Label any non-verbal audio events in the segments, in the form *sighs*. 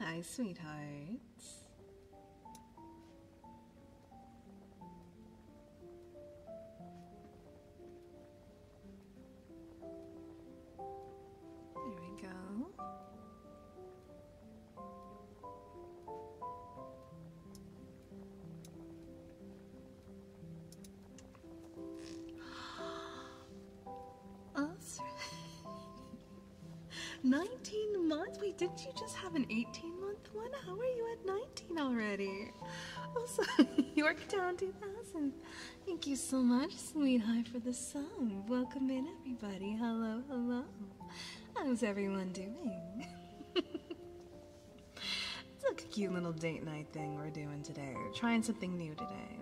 Hi, sweethearts. There we go. *gasps* Us. *laughs* 19 months? Wait, didn't you just have an 18 month? How are you at 19 already? Also, *laughs* Yorktown 2000. Thank you so much, sweetheart, for the song. Welcome in, everybody. Hello, hello. How's everyone doing? *laughs* it's like a cute little date night thing we're doing today. We're trying something new today.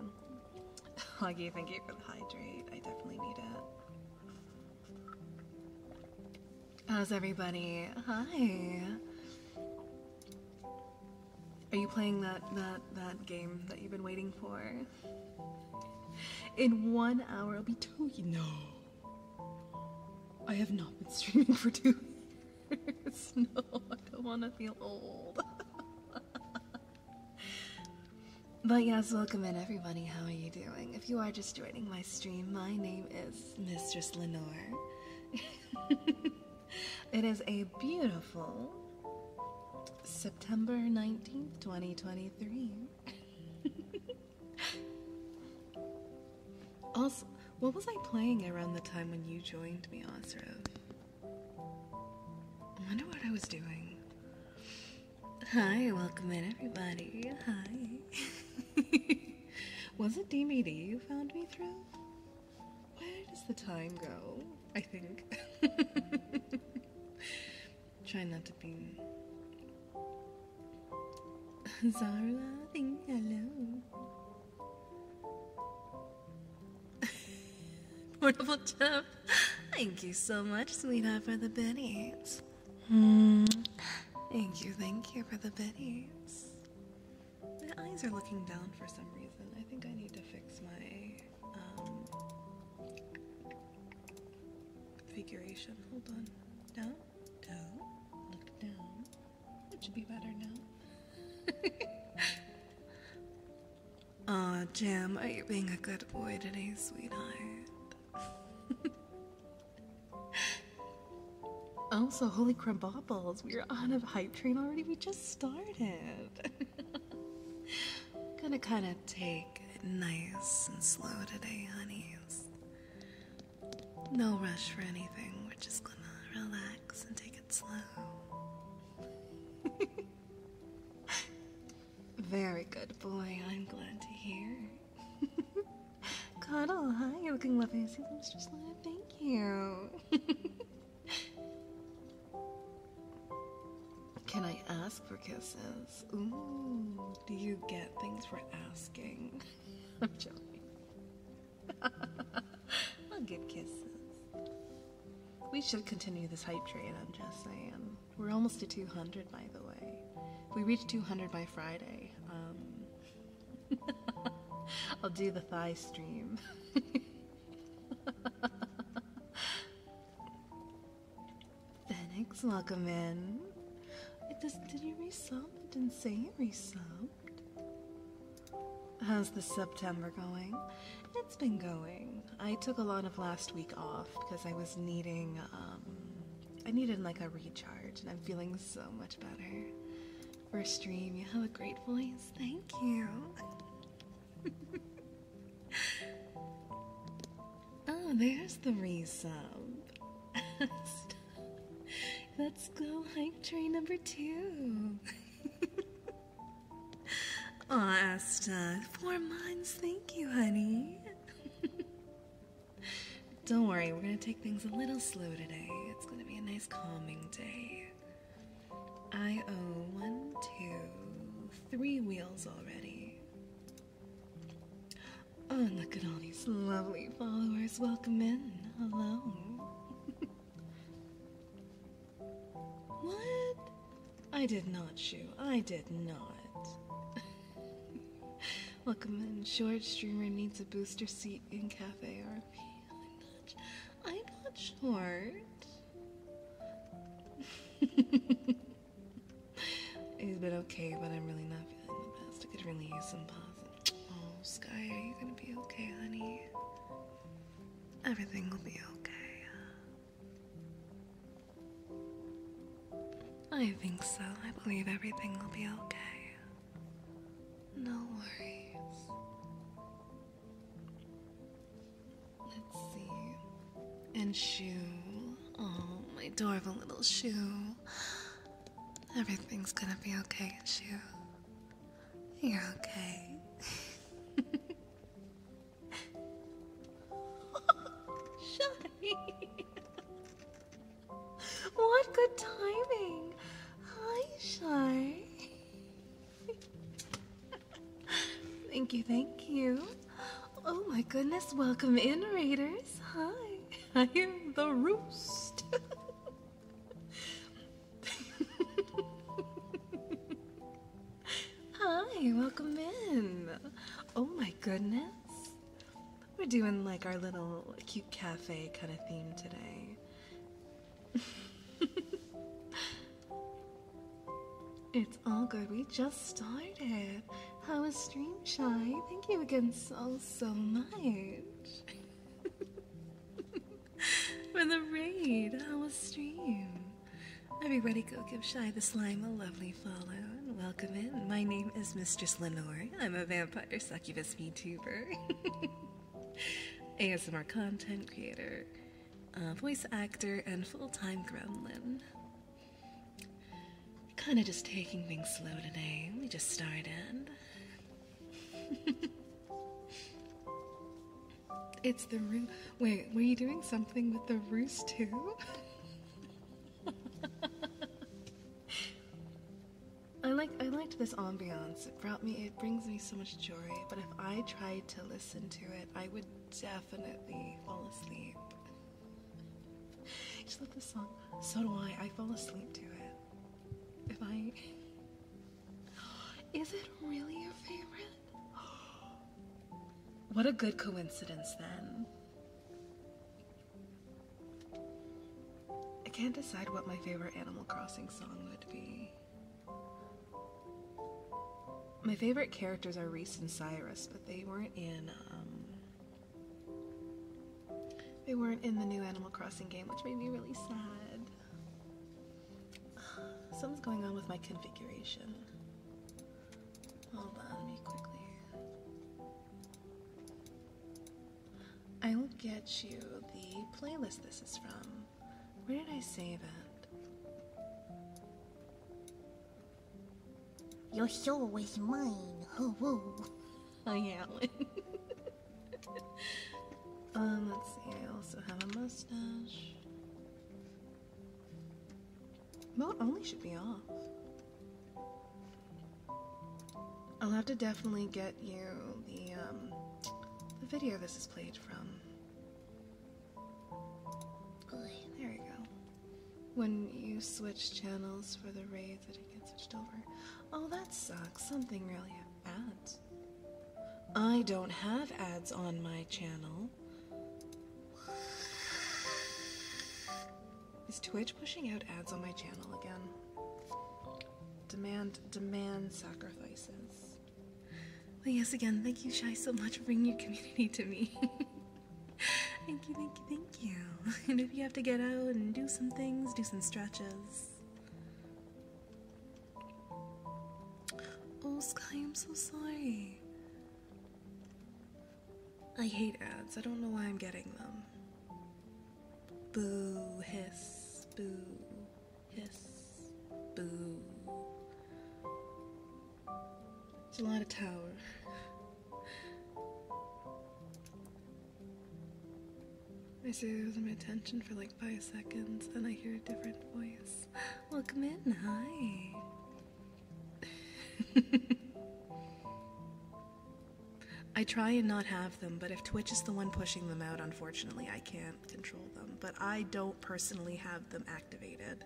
Huggy, thank you for the hydrate. I definitely need it. How's everybody? Hi. Are you playing that that that game that you've been waiting for? In one hour, it'll be two. No, I have not been streaming for two *laughs* No, I don't want to feel old. *laughs* but yes, welcome in everybody. How are you doing? If you are just joining my stream, my name is Mistress Lenore. *laughs* it is a beautiful September 19th, 2023. *laughs* also, what was I playing around the time when you joined me, Osrov? I wonder what I was doing. Hi, welcome in, everybody. Hi. *laughs* Was it DMD you found me through? Where does the time go? I think. *laughs* Try not to be. *laughs* Zara, think hello. Portable *laughs* chip. Thank you so much, sweetheart, for the biddies. Mm. Thank you, thank you for the biddies. My eyes are looking down for some reason. I think I need to fix my um, configuration. Hold on. Down? Down. Look down. That should be better now. *laughs* Aw, Jim, are you being a good boy today, sweetheart? *laughs* *laughs* Also, holy crumbopples, we're on a hype train already. We just started. *laughs* gonna kind of take it nice and slow today, honey. No rush for anything. We're just gonna relax and take it slow. *laughs* Very good boy. I'm glad to hear. Cuddle, hi, you're looking lovely. I See the mistress line. Thank you. *laughs* Can I ask for kisses? do you get things for asking? *laughs* I'm joking. *laughs* I'll give kisses. We should continue this hype train, I'm just saying. We're almost to 200, by the way. we reach 200 by Friday, um, *laughs* I'll do the thigh stream. *laughs* Thanks, welcome in. It does, did you resub? It didn't say you resubbed. How's the September going? It's been going. I took a lot of last week off because I was needing, um, I needed like a recharge and I'm feeling so much better. First a stream. You have a great voice. Thank you. oh, *laughs* there's the resub. *laughs* Let's go hike tree number two. *laughs* Aw, Asta, four months. Thank you, honey. Don't worry, we're gonna take things a little slow today. It's gonna be a nice calming day. I owe one, two, three wheels already. Oh, look at all these lovely followers. Welcome in. Hello. *laughs* what? I did not shoot. I did not. *laughs* Welcome in. Short streamer needs a booster seat in Cafe or. I'm not, I'm not short. he *laughs* been okay, but I'm really not feeling the best. I could really use some positive. Oh, Sky, are you gonna be okay, honey? Everything will be okay. I think so. I believe everything will be okay. No worries. Let's see. And shoe. Oh, my adorable little shoe. Everything's gonna be okay, shoe. You're okay. *laughs* Shiny. *laughs* what good timing! Hi, Shar. thank you, thank you. Oh my goodness, welcome in, Raiders. Hi. I hear the roost. Hi, welcome in. Oh my goodness. We're doing like our little cute cafe kind of theme today. *laughs* it's all good. We just started. I was Stream Shy? Thank you again so, so much. *laughs* For the raid. I was Stream? Everybody go give Shy the Slime a lovely follow and welcome in. My name is Mistress Lenore. I'm a vampire succubus VTuber. *laughs* ASMR *laughs* content creator, uh, voice actor, and full time gremlin. Kind of just taking things slow today. We just started. *laughs* it's the room. Wait, were you doing something with the roost too? *laughs* I like I liked this ambiance. It brought me it brings me so much joy, but if I tried to listen to it, I would definitely fall asleep. *laughs* Just love this song. So do I. I fall asleep to it. If I *gasps* Is it really your favorite? *gasps* What a good coincidence then. I can't decide what my favorite Animal Crossing song would be. My favorite characters are Reese and Cyrus, but they weren't in um, they weren't in the new Animal Crossing game, which made me really sad. *sighs* Something's going on with my configuration. Hold on, me quickly. I will get you the playlist this is from. Where did I save it? Your soul is mine.' Oh, whoa. Oh yeah. um, let's see. I also have a mustache. Mode only should be off. I'll have to definitely get you um, the video this is played from. There we go. When you switch channels for the raid that it gets switched over. Oh, that sucks. Something really ads. I don't have ads on my channel. Is Twitch pushing out ads on my channel again? Demand demand sacrifices. Well, yes, again, thank you, Shy, so much for bringing your community to me. *laughs* thank you, thank you, thank you. *laughs* And if you have to get out and do some things, do some stretches. Oh, Sky, I'm so sorry. I hate ads. I don't know why I'm getting them. Boo, hiss, boo. Yes. Boo. It's a lot of tower. I stay there with my attention for like five seconds, and I hear a different voice. *gasps* Welcome in, hi. *laughs* I try and not have them, but if Twitch is the one pushing them out, unfortunately, I can't control them, but I don't personally have them activated.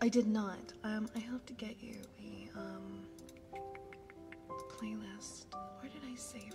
I did not. Um, I have to get you the um, playlist. Where did I save it?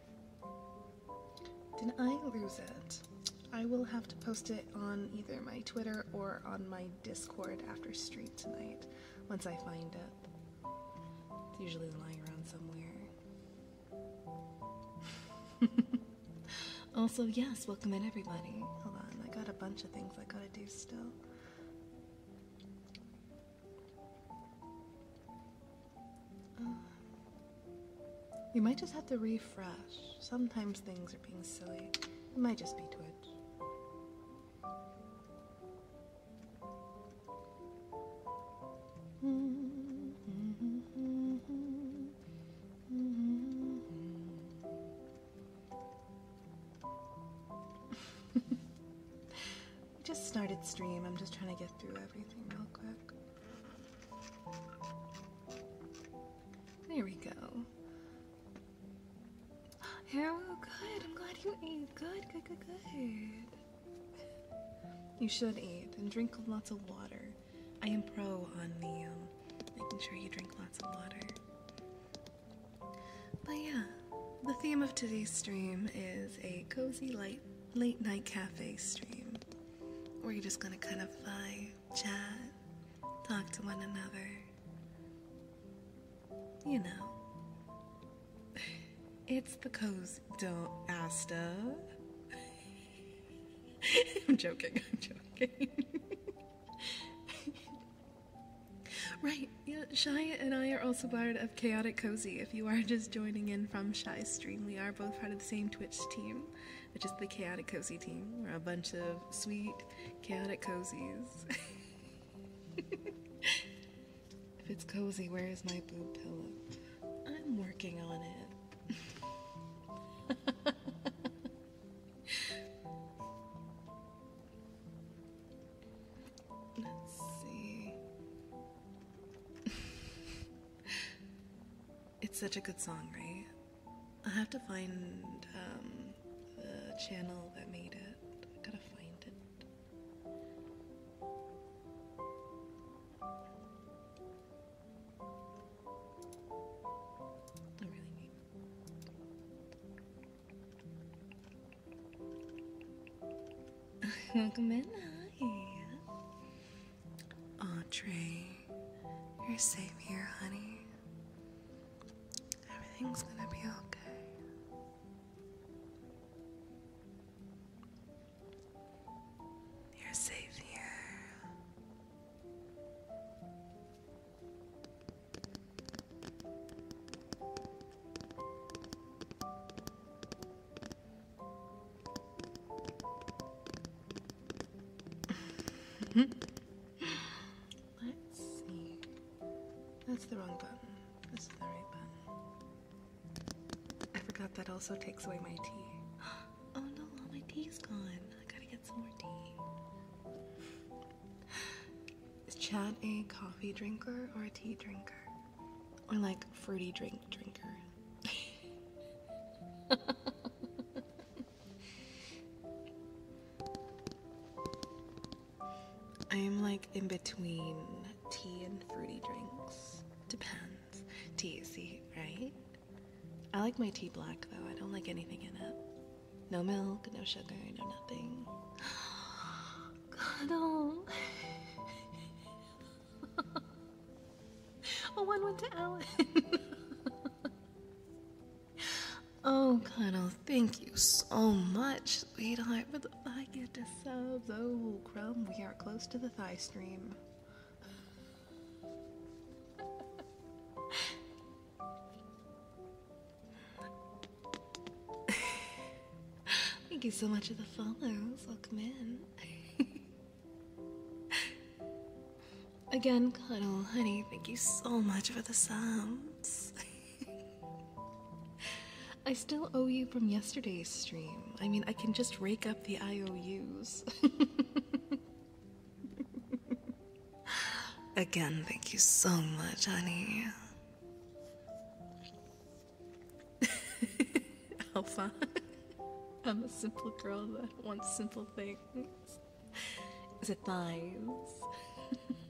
Did I lose it? I will have to post it on either my Twitter or on my Discord after stream tonight once I find it. It's usually lying around somewhere. *laughs* also, yes, welcome in everybody. Hold on, I got a bunch of things I gotta do still. Um, you might just have to refresh. Sometimes things are being silly. It might just be Twitch. *laughs* We just started stream. I'm just trying to get through everything real quick. There we go. Harold, good. I'm glad you ate. Good, good, good, good. You should eat and drink lots of water. I am pro on the um, making sure you drink lots of water. But yeah, the theme of today's stream is a cozy light late night cafe stream where you're just gonna kind of vibe, chat, talk to one another. You know, *laughs* it's the cozy. Don't Asta. *laughs* I'm joking. I'm joking. *laughs* right. Yeah, Shia and I are also part of Chaotic Cozy, if you are just joining in from Shy Stream, we are both part of the same Twitch team, which is the Chaotic Cozy team. We're a bunch of sweet, chaotic cozies. *laughs* if it's cozy, where is my boob pillow? I'm working on it. *laughs* Let's see. *laughs* it's such a good song, right? I have to find um, the channel that made it. I gotta find it. I really need. *laughs* Welcome in. Hi. you're safe here, honey. Everything's gonna be okay. You're safe here. Let's see. That's the wrong button. This is the right button. I forgot that also takes away my tea. *gasps* Oh no, my tea is gone. I gotta get some more tea. Is Chad a coffee drinker or a tea drinker? or like fruity drink drinker. *laughs* I am like in between tea and fruity drinks. Depends. Tea, see, right? I like my tea black though. I don't like anything in it. No milk, no sugar, no nothing. God, *gasps* oh. *laughs* *laughs* oh, one went to Alan. *laughs* oh, Connell, thank you so much, sweetheart, for the five gifted subs. Oh, Crumb, we are close to the thigh stream. *laughs* Thank you so much for the follows. Welcome in. Again, Cuddle, honey, thank you so much for the sounds. *laughs* I still owe you from yesterday's stream. I mean, I can just rake up the IOUs. *laughs* Again, thank you so much, honey. *laughs* Alpha. I'm a simple girl that wants simple things. The thighs. *laughs*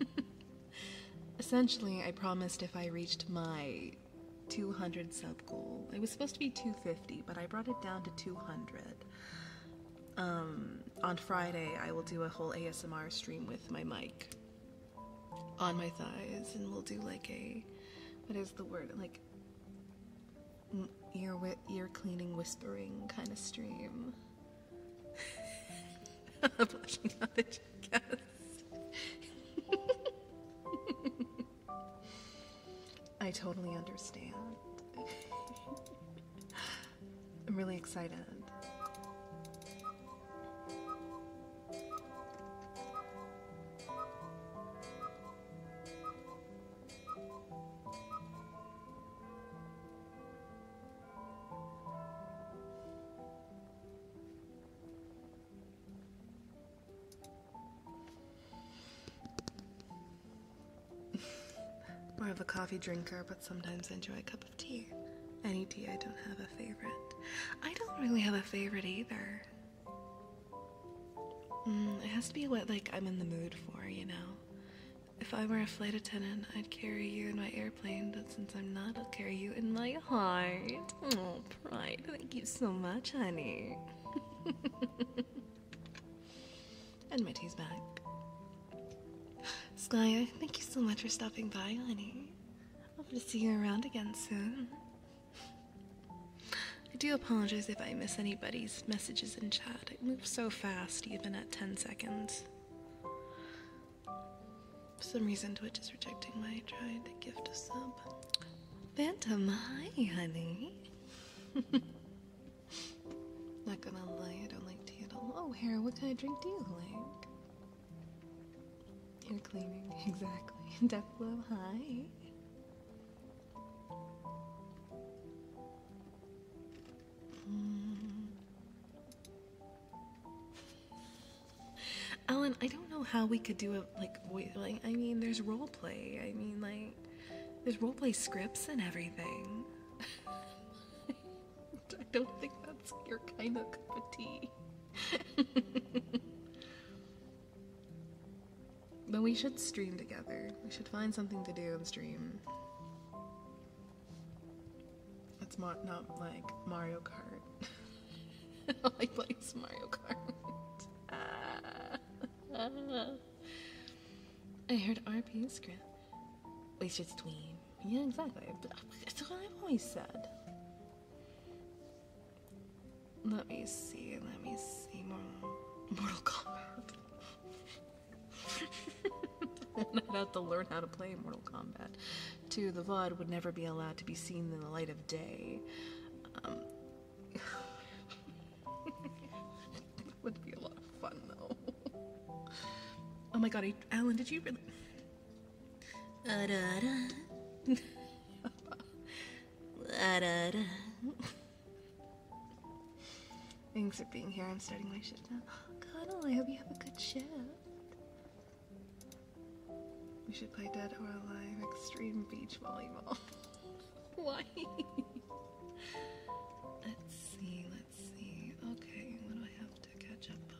Essentially, I promised if I reached my 200 sub goal. It was supposed to be 250, but I brought it down to 200. Um, on Friday, I will do a whole ASMR stream with my mic on my thighs, and we'll do like a what is the word like ear wi- ear cleaning, whispering kind of stream. *laughs* *laughs* I totally understand. *laughs* I'm really excited. More of a coffee drinker, but sometimes enjoy a cup of tea. Any tea, I don't have a favorite. I don't really have a favorite either. Mm, it has to be what like I'm in the mood for, you know. If I were a flight attendant, I'd carry you in my airplane, but since I'm not, I'll carry you in my heart. Oh, pride, thank you so much, honey. *laughs* and my back. Skye, thank you so much for stopping by, honey. Hope to see you around again soon. I do apologize if I miss anybody's messages in chat. It moves so fast, even at 10 seconds. For some reason, Twitch is rejecting my try to gift a sub. Phantom, hi, honey. *laughs* Not gonna lie, I don't like tea at all. Oh, Hera, what kind of drink do you like? You're cleaning, *laughs* exactly. Deathblow, hi. Ellen, I don't know how we could do it like voice. Like, I mean, there's role play. I mean, like, there's role play scripts and everything. *laughs* I don't think that's your kind of cup of tea. *laughs* But we should stream together. We should find something to do and stream. It's not, not like Mario Kart. *laughs* I don't like playing Mario Kart. *laughs* I heard RPS. script. We should stream. Yeah, exactly. That's what I've always said. Let me see, let me see. Mortal, Mortal Kombat. *laughs* I'd have to learn how to play Mortal Kombat. Two, the VOD would never be allowed to be seen in the light of day. Um, *laughs* would be a lot of fun though. oh my god, Alan, did you really? *laughs* Thanks for being here. I'm starting my shift now. *gasps* Cuddle, I hope you have a good shift. We should play Dead or Alive Extreme Beach Volleyball. *laughs* Why? let's see, let's see. Okay, what do I have to catch up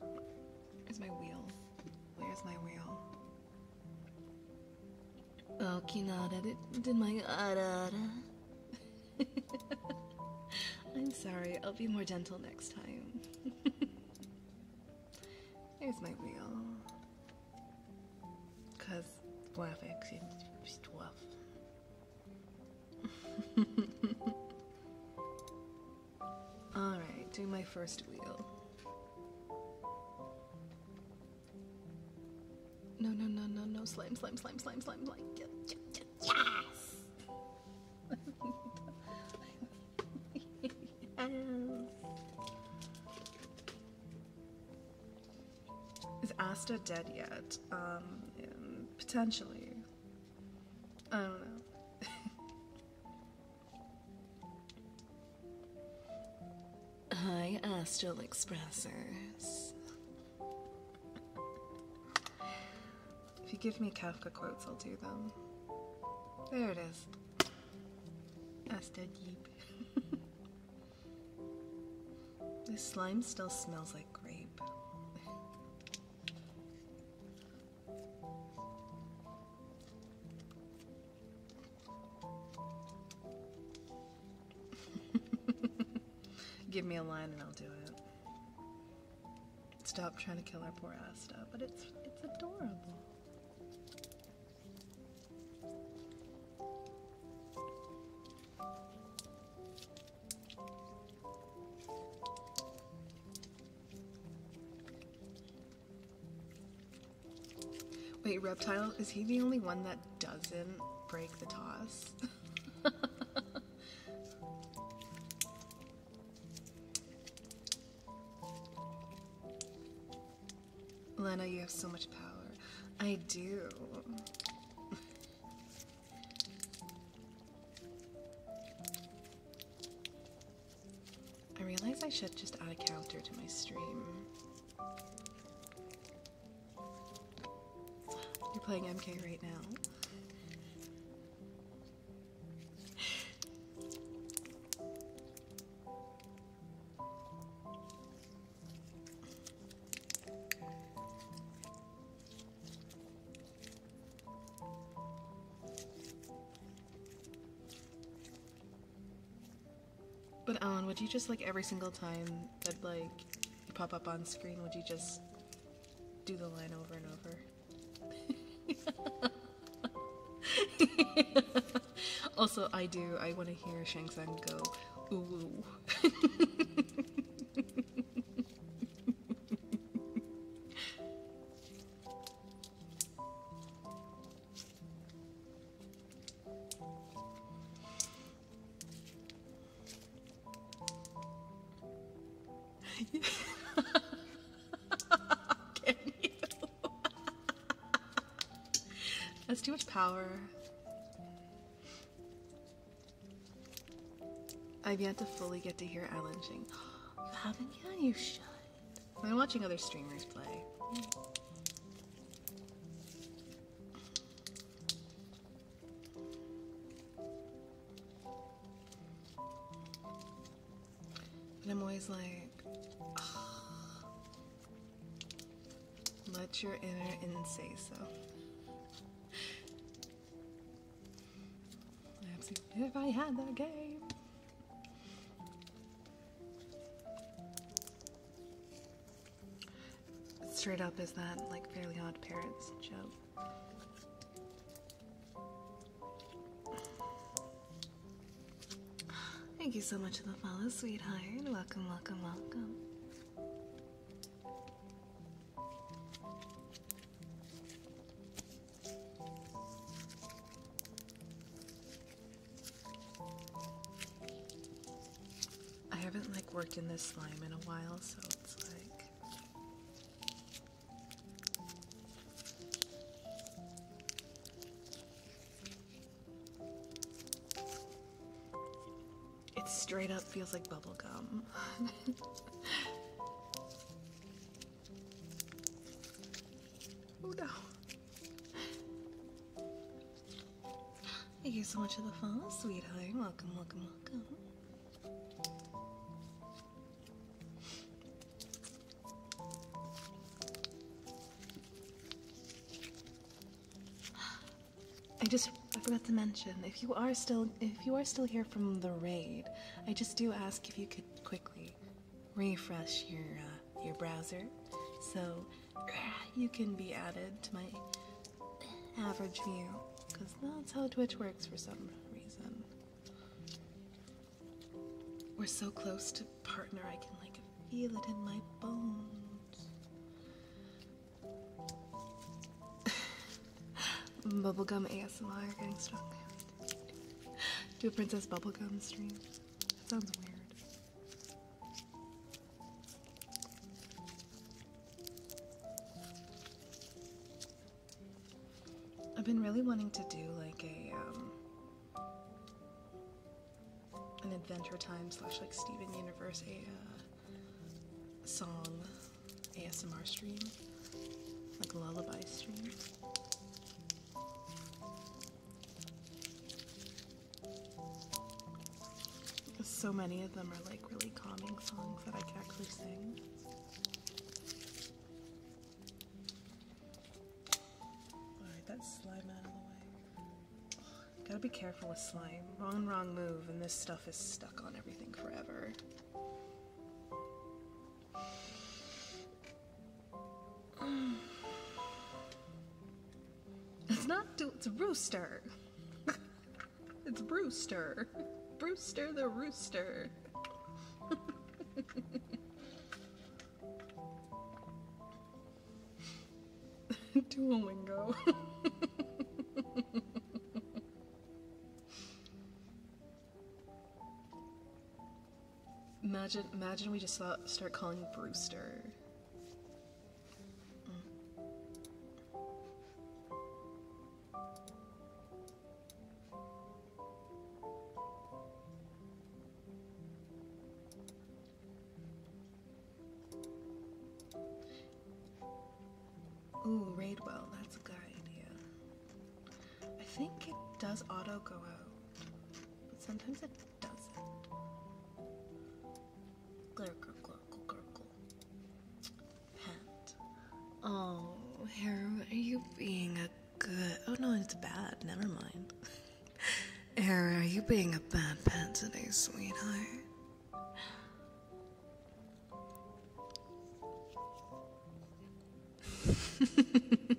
on? Where's my wheel? Where's my wheel? Okinada did, did my uh, *laughs* I'm sorry, I'll be more gentle next time. *laughs* Here's my wheel. Cause graphics is twelve. *laughs* Alright, do my first wheel. No, no, no, no, no. Slime, slime, slime, slime, slime, slime. Yes! Is Asta dead yet? Um, potentially. I don't know. *laughs* Hi, Astral uh, Expressers. If you give me Kafka quotes, I'll do them. There it is. Asta deep. *laughs* this slime still smells like grape. *laughs* Give me a line and I'll do it. Stop trying to kill our poor Asta, but it's it's adorable. Wait, Reptile, is he the only one that doesn't break the toss? *laughs* Lena, you have so much power. I do. I realize I should just add a counter to my stream. You're playing MK right now. But Alan, would you just like every single time that like you pop up on screen, would you just do the line over and over? *laughs* also, I do. I want to hear Shang Tsung go ooh. *laughs* *laughs* That's too much power. I've yet to fully get to hear Alan Shing. you *gasps* haven't yet? You should. I'm watching other streamers play. And I'm always like, ah, let your inner in say so. if I had that game. Straight up is that like fairly odd parents joke. Thank you so much for the follow, sweetheart. Welcome, welcome, welcome. I haven't like worked in this slime in a while, so it's like it straight up feels like bubblegum. *laughs* oh no. Thank you so much for the fun, sweetheart. Welcome, welcome, welcome. *gasps* I just I forgot to mention if you are still if you are still here from the raid, I just do ask if you could quickly refresh your uh, your browser. So you can be added to my average view because that's how Twitch works for some reason. We're so close to partner, I can like feel it in my bones. *laughs* bubblegum ASMR getting strong. Do a princess bubblegum stream. That sounds weird. I've been really wanting to do like a um, an Adventure Time slash like Steven Universe uh, song ASMR stream, like lullaby stream. So many of them are like really calming songs that I can actually sing. Alright, that slime out of the way. gotta be careful with slime. Wrong, wrong move, and this stuff is stuck on everything forever. It's not, do it's Rooster. *laughs* it's Brewster. Brewster the Rooster. *laughs* Duolingo. *laughs* imagine, imagine we just start calling Brewster. Mm. Ooh, well. that's a good idea. I think it does auto go out, but sometimes it doesn't. Glurgle, glurgle, glurgle. Oh, Harem, are you being a good. Oh no, it's bad. Never mind. *laughs* Harem, are you being a bad pet today, sweetheart? *laughs*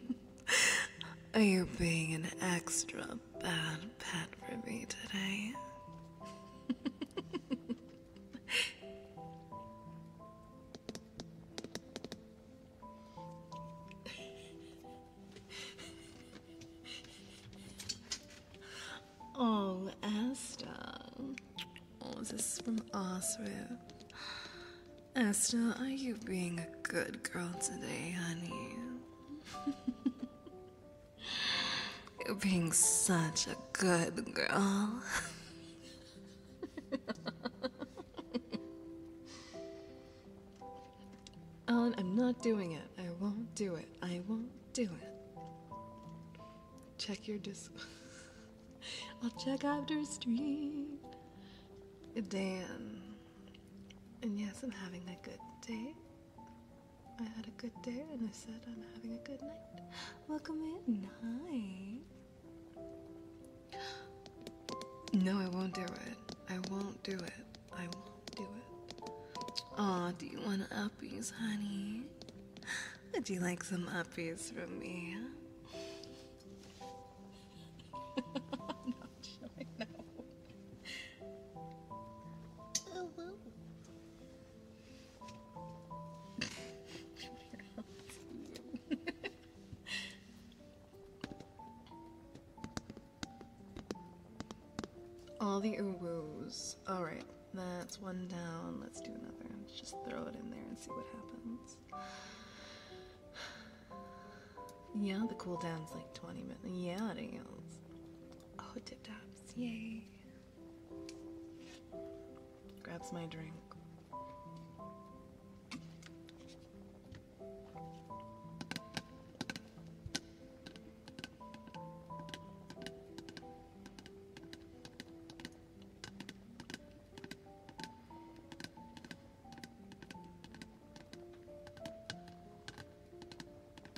Are you being an extra bad pet for me today. oh, Esther. Oh, this is from Oswald. Esther, are you being a good girl today, honey? *laughs* You're being such a good girl. Alan, *laughs* I'm not doing it. I won't do it. I won't do it. Check your dis. *laughs* I'll check after a stream. Dan. And yes, I'm having a good day. I had a good day and I said I'm having a good night. Welcome in, night. No, I won't do it. I won't do it. I won't do it. Aw, do you want uppies, honey? Would you like some uppies from me? *laughs* I'm *laughs* All the oohs. Alright, that's one down. Let's do another. just throw it in there and see what happens. *sighs* Yeah, the cooldown's like 20 minutes. Yeah, it is. Oh, tip tops, yay. Grabs my drink.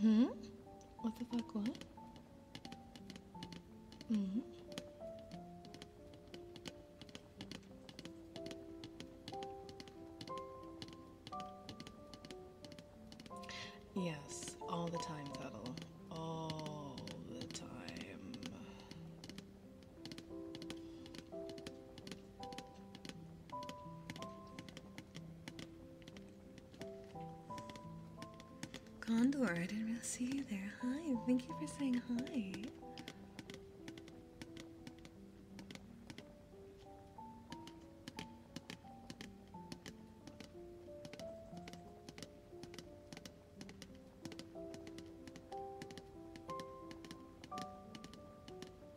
Hmm? What the fuck, what? hmm Yes, all the time, Tuttle. All the time. Condor, I didn't really see you there. Hi, thank you for saying hi.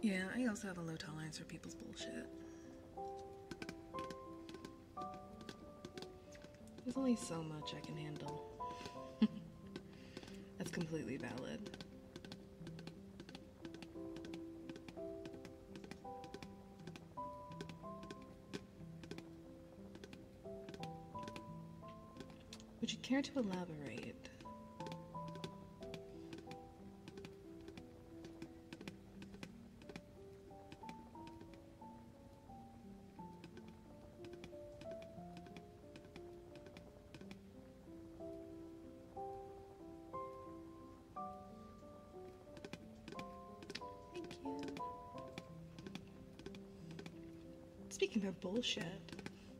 Yeah, I also have a low tolerance for people's bullshit. There's only so much I can handle. *laughs* That's completely valid. Would you care to elaborate? Thank you. Speaking of bullshit,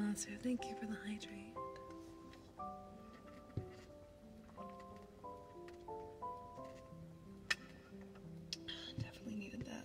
Uh, sir, thank you for the hydrate. Definitely needed that.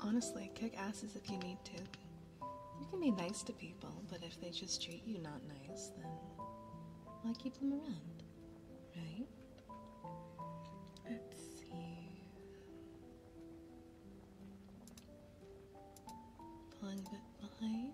Honestly, kick asses if you need to. You can be nice to people, but if they just treat you not nice, then why keep them around? Right? Let's see. Pulling a bit behind.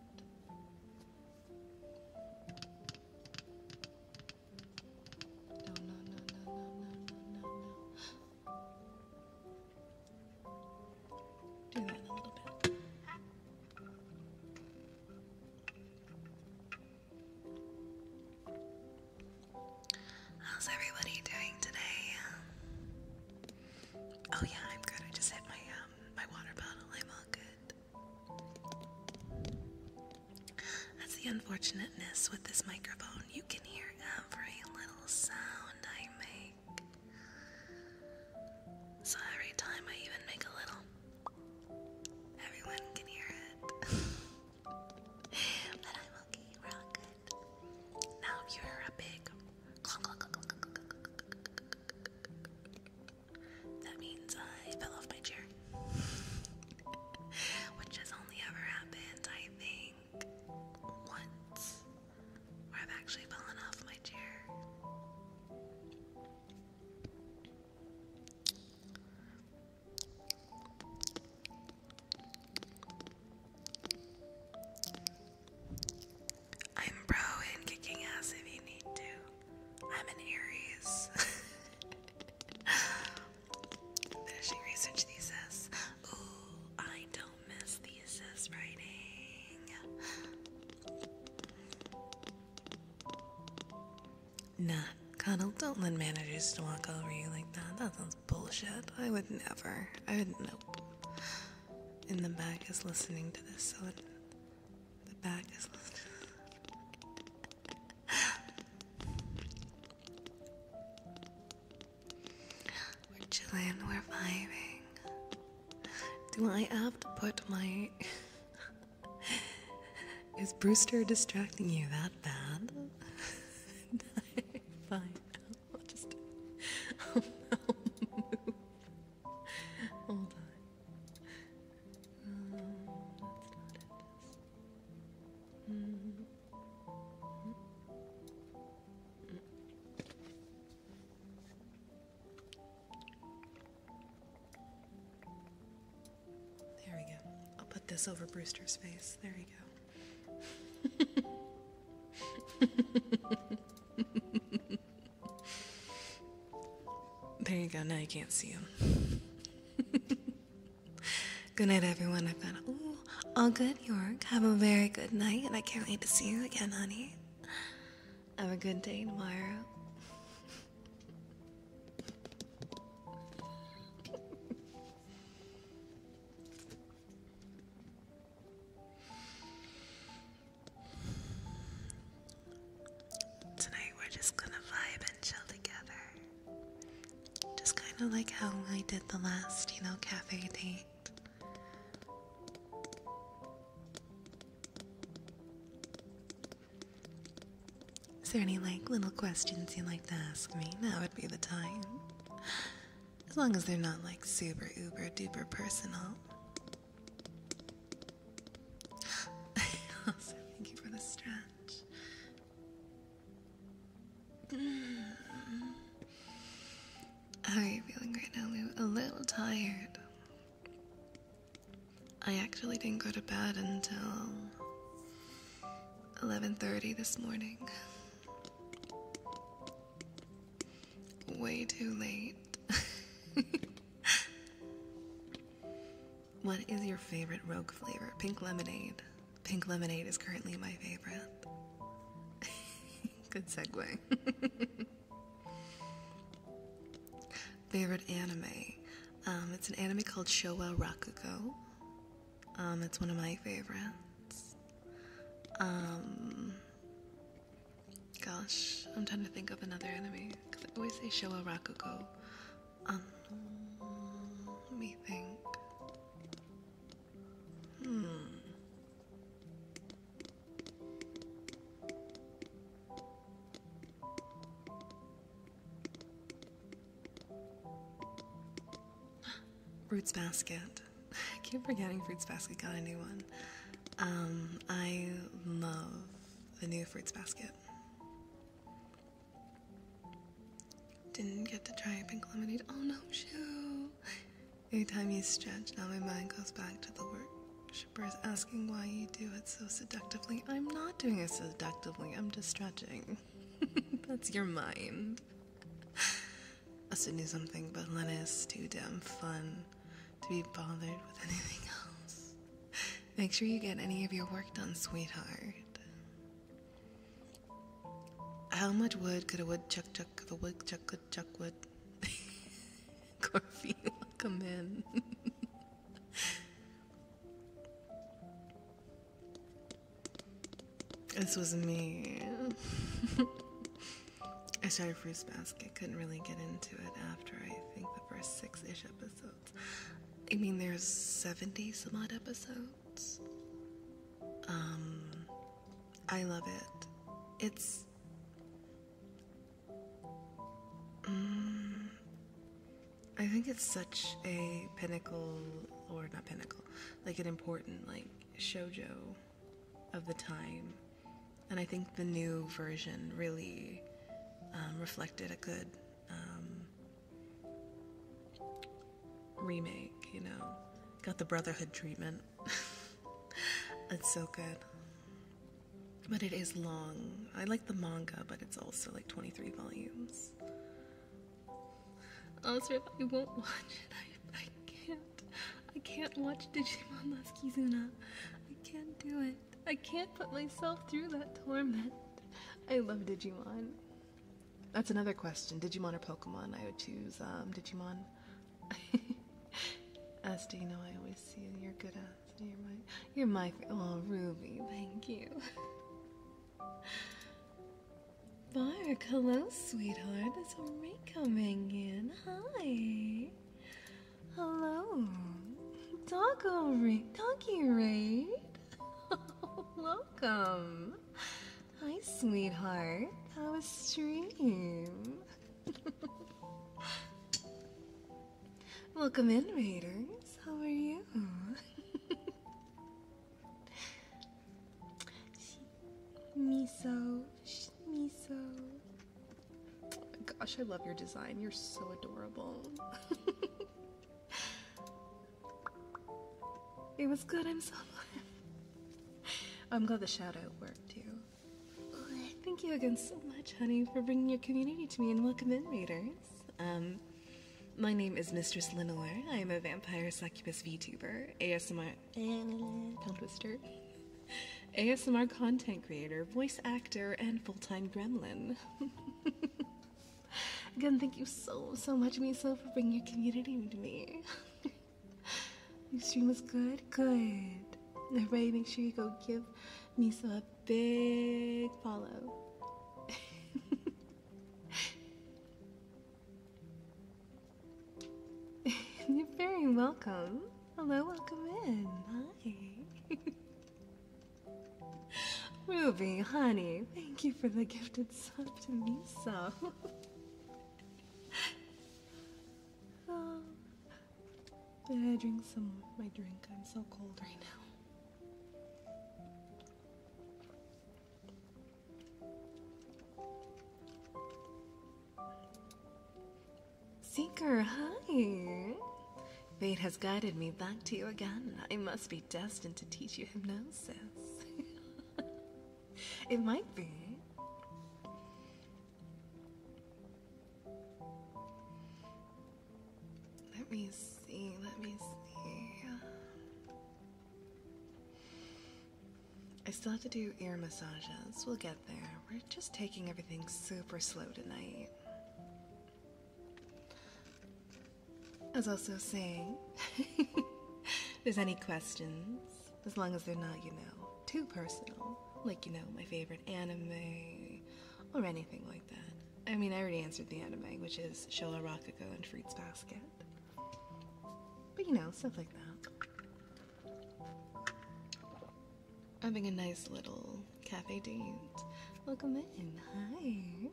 How's everybody doing today? Oh yeah, I'm good. I just hit my um my water bottle. I'm all good. That's the unfortunateness with this microphone. You can hear every little sound I make. So every time I even make a little, everyone can hear it. but I'm okay, we good. Now you're a big That means I fell off my chair. *laughs* which has only ever happened, I think, once where I've actually fallen off my chair. I'm pro in kicking ass if you need to. I'm an Aries. *laughs* Finishing research thesis. Ooh, I don't miss thesis writing. Nah, Connell, don't let managers walk over you like that. That sounds bullshit. I would never. I would nope. In the back is listening to this, so it, the back is listening we we're vibing. Do I have to put my. *laughs* Is Brewster distracting you that bad? *laughs* Fine, just. move. *laughs* Hold on. Um, there we go. I'll put this over Brewster's face. There you go. *laughs* there you go. Now you can't see him. *laughs* Good night, everyone. I've got ooh, all good, York. Have a very good night, and I can't wait to see you again, honey. Have a good day tomorrow. *laughs* Tonight we're just gonna vibe and chill together. Just kind of like how I did the last, you know, cafe date. Is there any like little questions you would like to ask me? Now would be the time. As long as they're not like super uber duper personal. *laughs* thank you for the stretch. How are you feeling right now, Lou? A little tired. I actually didn't go to bed until 11:30 this morning. Way too late. *laughs* what is your favorite rogue flavor? Pink lemonade. Pink lemonade is currently my favorite. *laughs* Good segue. *laughs* favorite anime. Um, it's an anime called Showa Rakugo. Um, it's one of my favorites. Um, gosh, I'm trying to think of another anime because I always say Showa Rakugo. let me think. Hmm. Fruits Basket. *laughs* I keep forgetting Fruits Basket got a new one. Um, I love the new Fruits Basket. Didn't get to try pink lemonade. Oh no, shoo! Every time you stretch, now my mind goes back to the worshippers asking why you do it so seductively. I'm not doing it seductively, I'm just stretching. *laughs* That's your mind. I should do something, but Lena's too damn fun to be bothered with anything else. Make sure you get any of your work done, sweetheart. How much wood could a woodchuck chuck if a woodchuck could chuck wood? Corfield, come in. *laughs* this was me. *laughs* I started Fruits Basket, couldn't really get into it after I think the first six ish episodes. I mean, there's 70 some odd episodes. Um, I love it. It's. Mm, I think it's such a pinnacle, or not pinnacle, like an important, like, shojo of the time. And I think the new version really um, reflected a good um, remake, you know. Got the Brotherhood treatment. *laughs* it's so good. But it is long. I like the manga, but it's also like 23 volumes. Also, if I won't watch it, I, I can't. I can't watch Digimon Last I can't do it. I can't put myself through that torment. I love Digimon. That's another question. Digimon or Pokemon? I would choose um, Digimon. *laughs* Asta, you know I always see you. are good, Asta. You're my, you're my. Oh, Ruby, thank you. Mark, *laughs* hello, sweetheart. That's Marie coming in. Hi. Hello. Taco Raid. Donkey Raid. Welcome. Hi, sweetheart. How was stream? Welcome in, readers. How are you? miso, miso. gosh, I love your design. You're so adorable. *laughs* it was good. I'm so glad. I'm glad the shout worked too. Thank you again so much, honey, for bringing your community to me and welcome in, readers. Um, my name is Mistress Lenore. I am a vampire succubus VTuber, ASMR tongue twister, ASMR content creator, voice actor, and full-time gremlin. *laughs* again, thank you so so much, Miso, for bringing your community to me. *laughs* Your stream was good? Good. Everybody, make sure you go give Miso a big follow. *laughs* You're very welcome. Hello, welcome in. Hi. *laughs* Ruby, honey, thank you for the gifted sub to Miso. *laughs* *sighs* i drink some my drink. I'm so cold right now. Seeker, hi! Fate has guided me back to you again. I must be destined to teach you hypnosis. *laughs* It might be. Let me see, let me see. I still have to do ear massages. We'll get there. We're just taking everything super slow tonight. I was also saying, *laughs* if there's any questions, as long as they're not, you know, too personal. Like, you know, my favorite anime or anything like that. I mean, I already answered the anime, which is Shola Rokugo and Fruits Basket. But you know, stuff like that. Having a nice little cafe date. Welcome in. Hi.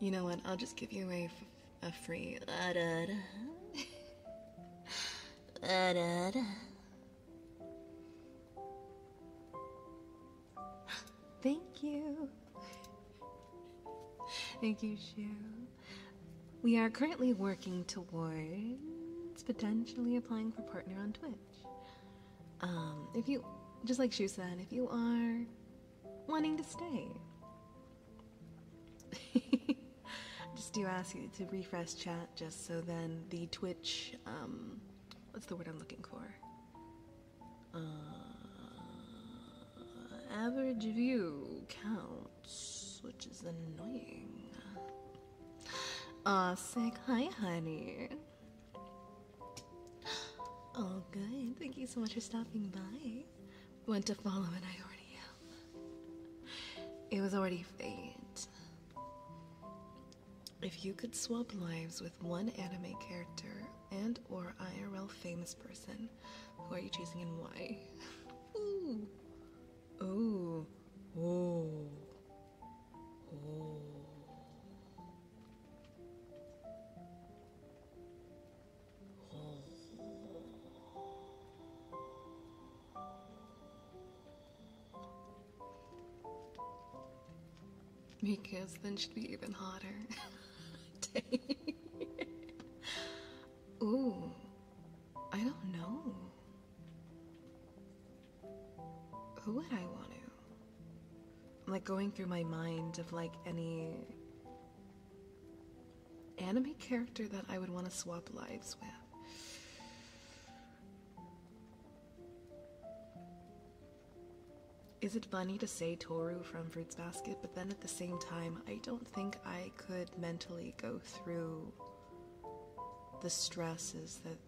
You know what? I'll just give you a, a free. Uh, da, da. *sighs* uh, da, *gasps* Thank you. Thank you, Shu. We are currently working towards potentially applying for partner on Twitch. Um, if you, just like Shu said, if you are wanting to stay. *laughs* just do ask you to refresh chat just so then the Twitch, um, what's the word I'm looking for? Uh, average view counts, which is annoying. Aw, uh, sick. Hi, honey. Oh, *gasps* good. Thank you so much for stopping by went to follow and I already It was already fate. If you could swap lives with one anime character and or IRL famous person, who are you choosing and why? Ooh. Ooh. Ooh. Because then she'd be even hotter. *laughs* Ooh, I don't know. Who would I want to? I'm like going through my mind of like any Anime character that I would want to swap lives with. Is it funny to say Toru from Fruits Basket, but then at the same time, I don't think I could mentally go through the stresses that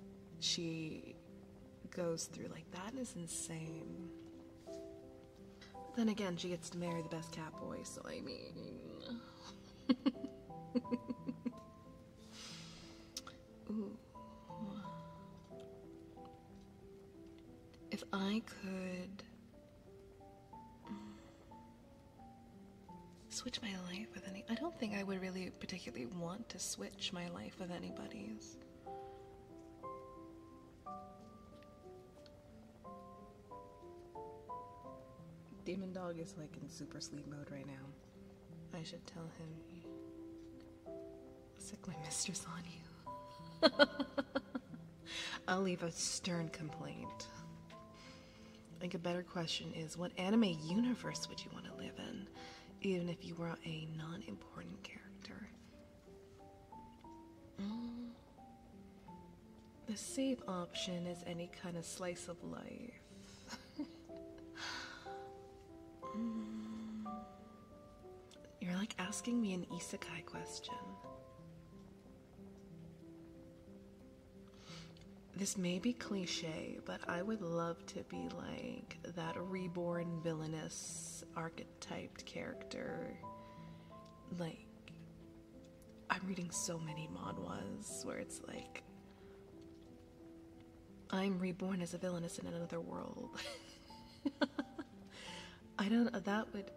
she goes through. Like, that is insane. Then again, she gets to marry the best cat boy, so I mean. *laughs* If I could switch my life with any. I don't think I would really particularly want to switch my life with anybody's. Demon Dog is like in super sleep mode right now. I should tell him. Sick my mistress on you. *laughs* I'll leave a stern complaint. I think a better question is what anime universe would you want to live in, even if you were a non important character? Mm. The safe option is any kind of slice of life. *laughs* Mm. You're like asking me an isekai question. This may be cliche, but I would love to be like that reborn villainous archetyped character. Like, I'm reading so many manhwas where it's like I'm reborn as a villainess in another world. *laughs* I don't that would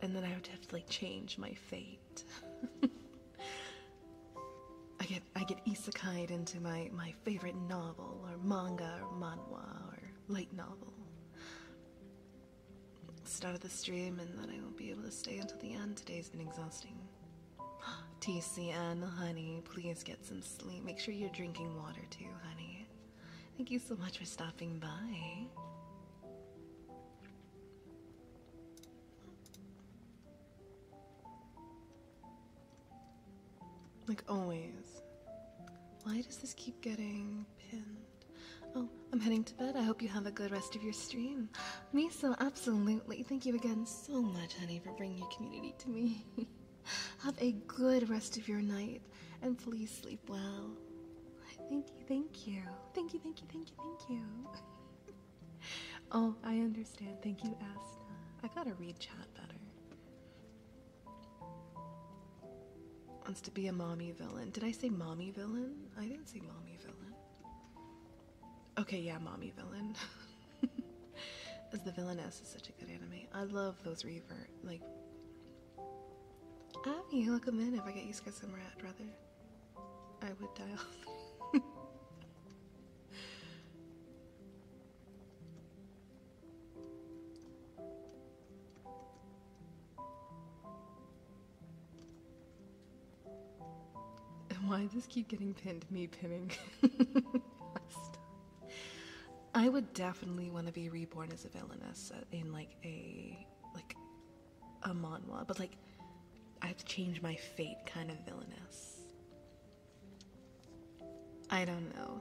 and then I would have to like change my fate. *laughs* I get I get isekai into my my favorite novel or manga or manhwa or light novel start of the stream and then I will not be able to stay until the end. Today's been exhausting. *gasps* TCN, honey, please get some sleep. Make sure you're drinking water too, honey. Thank you so much for stopping by. Like always. Why does this keep getting pinned? Oh, I'm heading to bed. I hope you have a good rest of your stream. Me Miso, absolutely. Thank you again so much, honey, for bringing your community to me. *laughs* have a good rest of your night, and please sleep well. thank you. Thank you, thank you, thank you, thank you. *laughs* oh, I understand. Thank you, Asta. I gotta read chat better. Wants to be a mommy villain. Did I say mommy villain? I didn't say mommy villain. Okay, yeah, mommy villain. *laughs* As the villainess is such a good anime. I love those reverts. Like, Abby, welcome in. If I get you guys somewhere, I'd rather I would dial. *laughs* And why does this keep getting pinned? Me pinning. *laughs* I would definitely want to be reborn as a villainess uh, in like a like a manhwa, but like I have to change my fate kind of villainess. I don't know.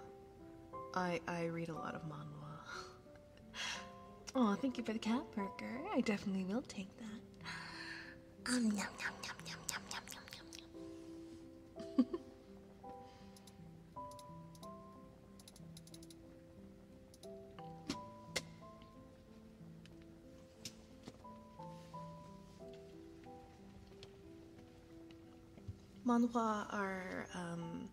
I I read a lot of manhwa. *laughs* Oh, thank you for the cat burger. I definitely will take that. Manhua are um,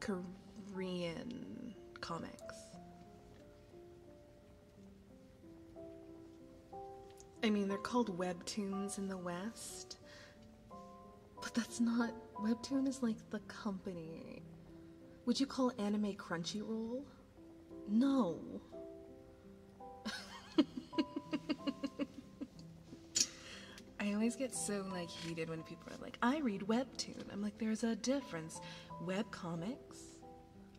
Korean comics. I mean, they're called webtoons in the West, but that's not. Webtoon is like the company. Would you call anime Crunchyroll? No. *laughs* I always get so like heated when like, I read webtoon. I'm like, there's a difference. Web comics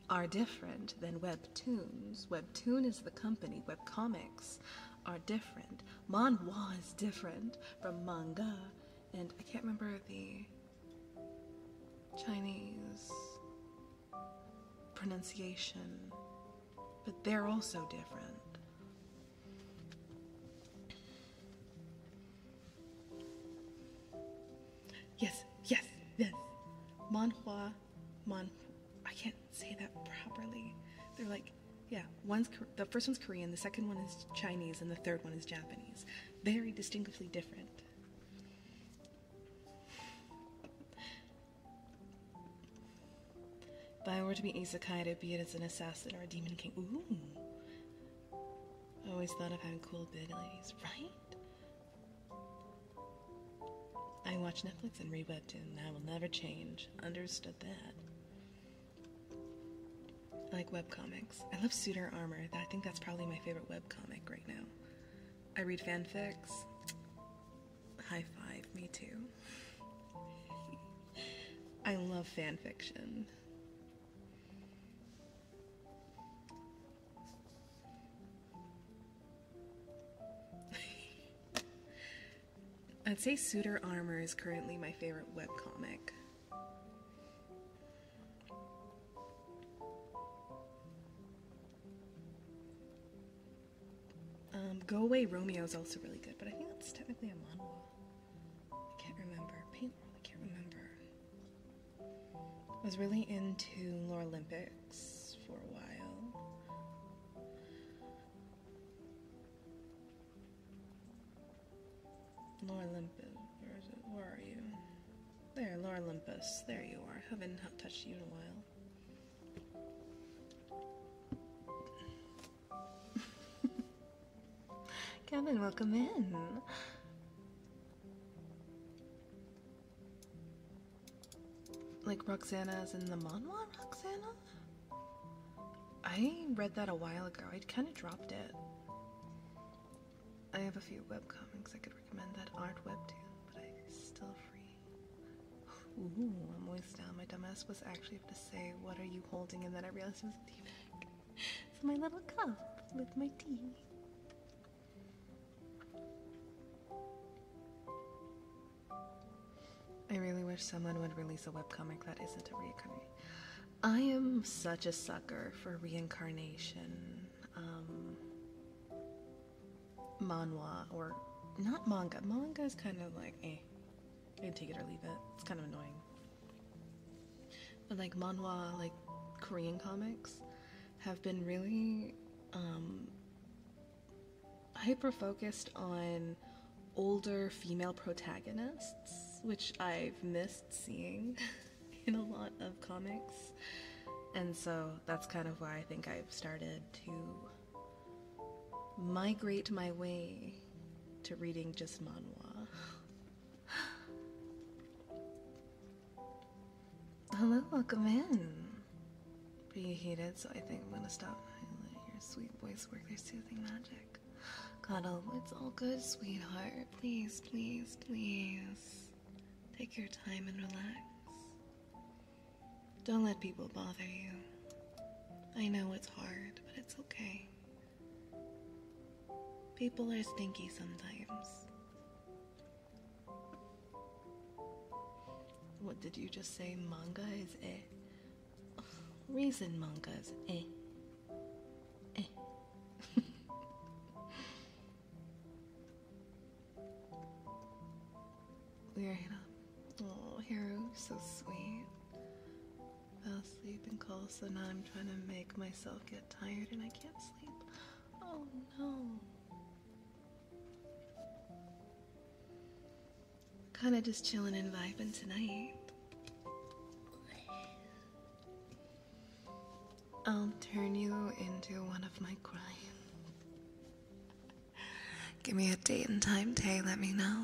are different than webtoons. Webtoon is the company. Web comics are different. Manhwa is different from manga, and I can't remember the Chinese pronunciation, but they're also different. Yes, yes, yes. Manhua, Man. I can't say that properly. They're like, yeah. One's the first one's Korean, the second one is Chinese, and the third one is Japanese. Very distinctively different. If I were to be isekai, to be it as an assassin or a demon king. Ooh. I always thought of having cool ladies. right? I watch Netflix and read webtoon. I will never change. Understood that. I like comics. I love Suitor Armor. I think that's probably my favorite web comic right now. I read fanfics. High five, me too. *laughs* I love fanfiction. *laughs* I'd say Suitor Armor is currently my favorite webcomic. Um, Go Away Romeo is also really good, but I think that's technically a manhwa. I can't remember. Paint Paintball, I can't remember. I was really into Lore Olympics for a while. Lore Olympus, where is it? Where are you? There, Lore Olympus, there you are. Haven't touched you in a while. *laughs* Kevin, welcome in. Like Roxana is in the manhwa, Roxana? I read that a while ago. I kind of dropped it. I have a few webcomics I could recommend that aren't webtoon, but I am still free. Ooh, I'm always down. My dumbass was actually about to say, what are you holding? And then I realized it was a teabag for my little cup with my tea. I really wish someone would release a webcomic that isn't a reincarnation. I am such a sucker for reincarnation. Um, or not manga. Manga is kind of like, eh. I take it or leave it. It's kind of annoying but like manhwa, like Korean comics, have been really um, hyper focused on older female protagonists, which I've missed seeing *laughs* in a lot of comics. And so that's kind of why I think I've started to migrate my way to reading just manhwa. *laughs* *gasps* Hello, welcome in. Pretty heated, so I think I'm gonna stop. Your sweet voice work their soothing magic. Cuddle, it's all good, sweetheart. Please, please, please. Take your time and relax. Don't let people bother you. I know it's hard, but it's okay. People are stinky sometimes. What did you just say? Manga is eh. a *laughs* Reason manga is eh. Eh. Lyra. *laughs* Oh, Haru, so sweet. Fell asleep and cold, so now I'm trying to make myself get tired and I can't sleep. Oh no. Kind of just chilling and vibing tonight. I'll turn you into one of my crimes. Give me a date and time, Tay. Let me know.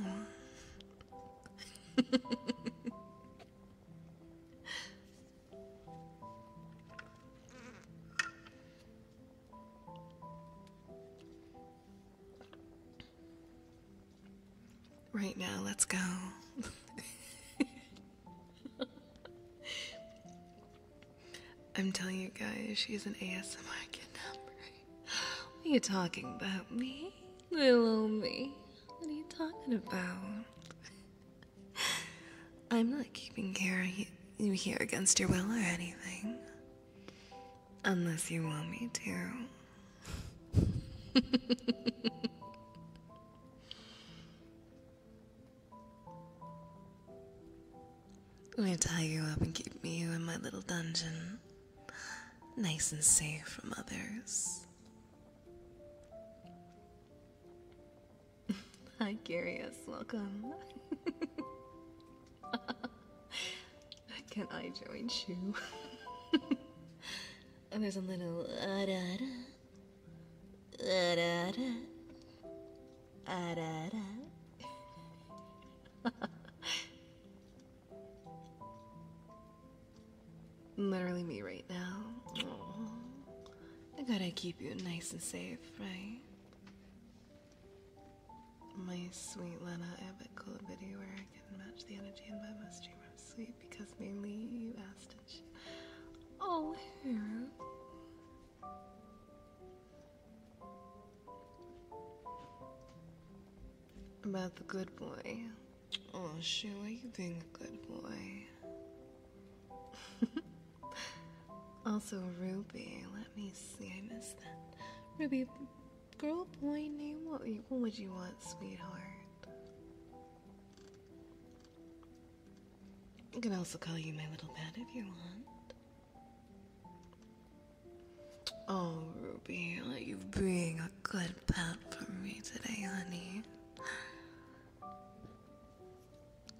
*laughs* Right now, let's go. *laughs* I'm telling you guys, she's an ASMR kid. *gasps* What are you talking about, me? Little me. What are you talking about? I'm not keeping you here against your will or anything. Unless you want me to. I'm gonna tie you up and keep you in my little dungeon. Nice and safe from others. *laughs* Hi, Curious. Welcome. *laughs* Can I join you? *laughs* and there's a little uh, da, da, uh, da, literally me right now. I gotta keep you nice and safe, right? My sweet Lena, I have a cool video where I can match the energy in my most I'm sweet because mainly you asked and she. Oh, here. About the good boy. Oh, Sheila, you being a good boy. *laughs* also, Ruby. Let me see. I missed that. Ruby, girl, boy, name. What, would you want, sweetheart? I can also call you my little pet if you want. Oh, Ruby, you've been a good pet for me today, honey.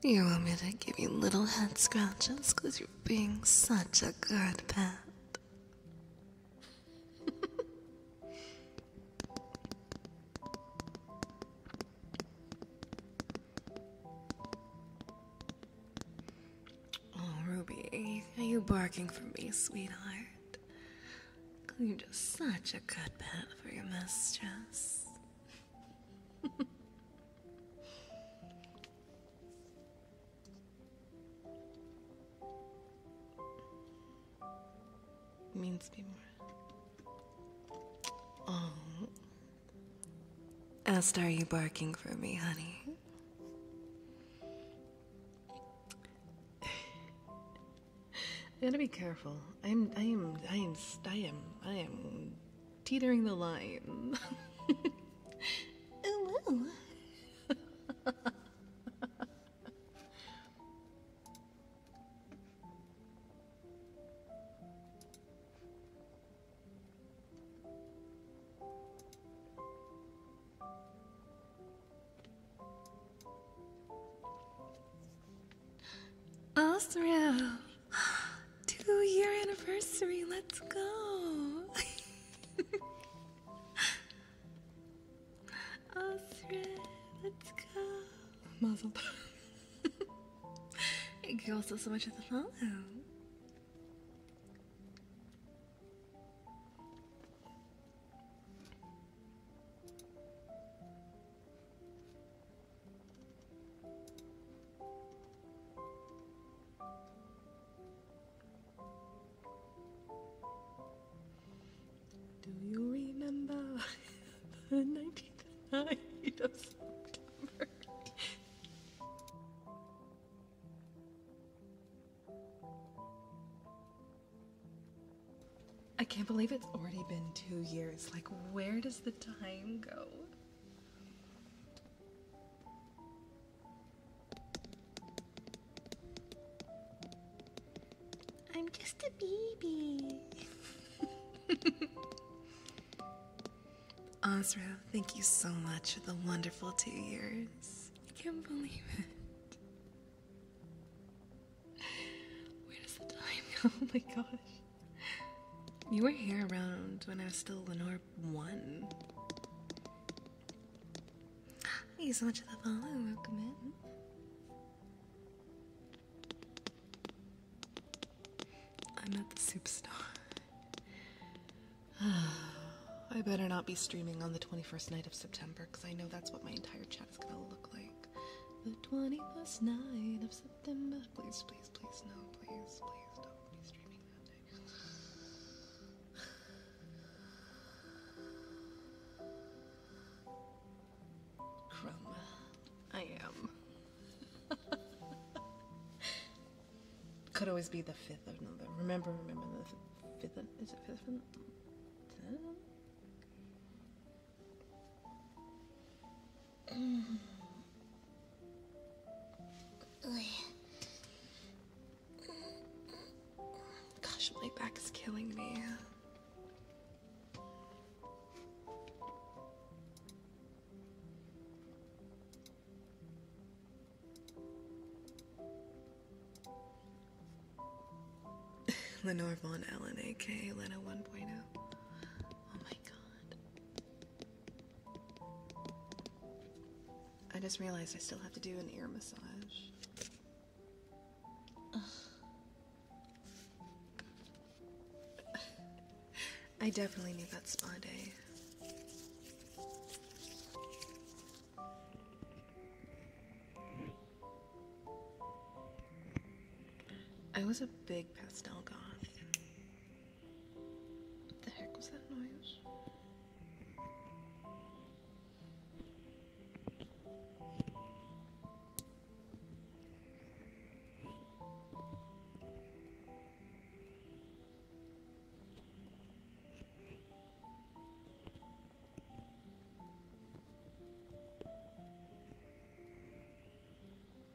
You want me to give you little head scratches because you're being such a good pet. *laughs* oh, Ruby, are you barking for me, sweetheart? You're just such a good pet for your mistress means be more. Oh. Asked, are you barking for me, honey? I gotta be careful. I'm, I am, I am, I am, teetering the line. Hello. *laughs* Oh, Osram, *gasps* two year anniversary, let's go. Osram, *laughs* let's go. Muzzle. *laughs* Thank you also so much for the follow. Do you remember *laughs* the 19th night of September? I can't believe it's already been two years. Like, where does the time go? I'm just a baby. Osro, *laughs* thank you so much for the wonderful two years. I can't believe it. Where does the time go? *laughs* Oh my gosh. You were here around when I was still Lenore 1. *gasps* Thank you so much for the follow. Welcome in. I'm at the star. *sighs* I better not be streaming on the 21st night of September because I know that's what my entire chat is going to look like. The 21st night of September. Please, please, please, no, please, please don't be streaming that Crumb. I am. Could always be the 5th of November. Remember, remember the 5th is it 5th of November? Gosh, my back is killing me. *laughs* Lenore Von Allen, aka Lena 1.0. Oh my god. I just realized I still have to do an ear massage. *sighs* I definitely need that spa day. I was a big pastel goth. What the heck was that noise?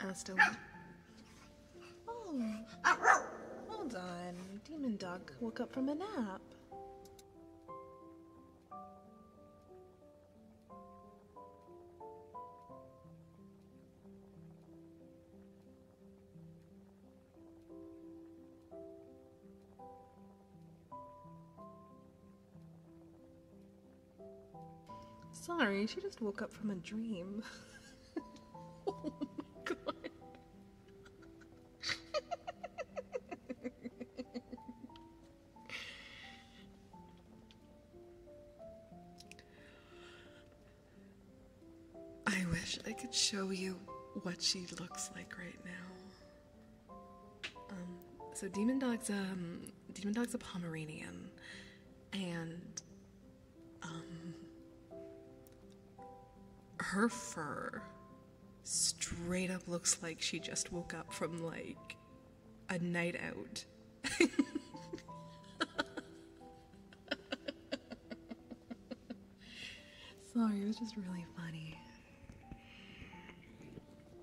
Aston. Oh, hold on. Demon dog woke up from a nap. Sorry, she just woke up from a dream. *laughs* oh my god. I wish I could show you what she looks like right now. Um, so Demon Dog's um Demon Dog's a Pomeranian, and um, her fur straight up looks like she just woke up from like a night out. *laughs* Sorry, it was just really funny.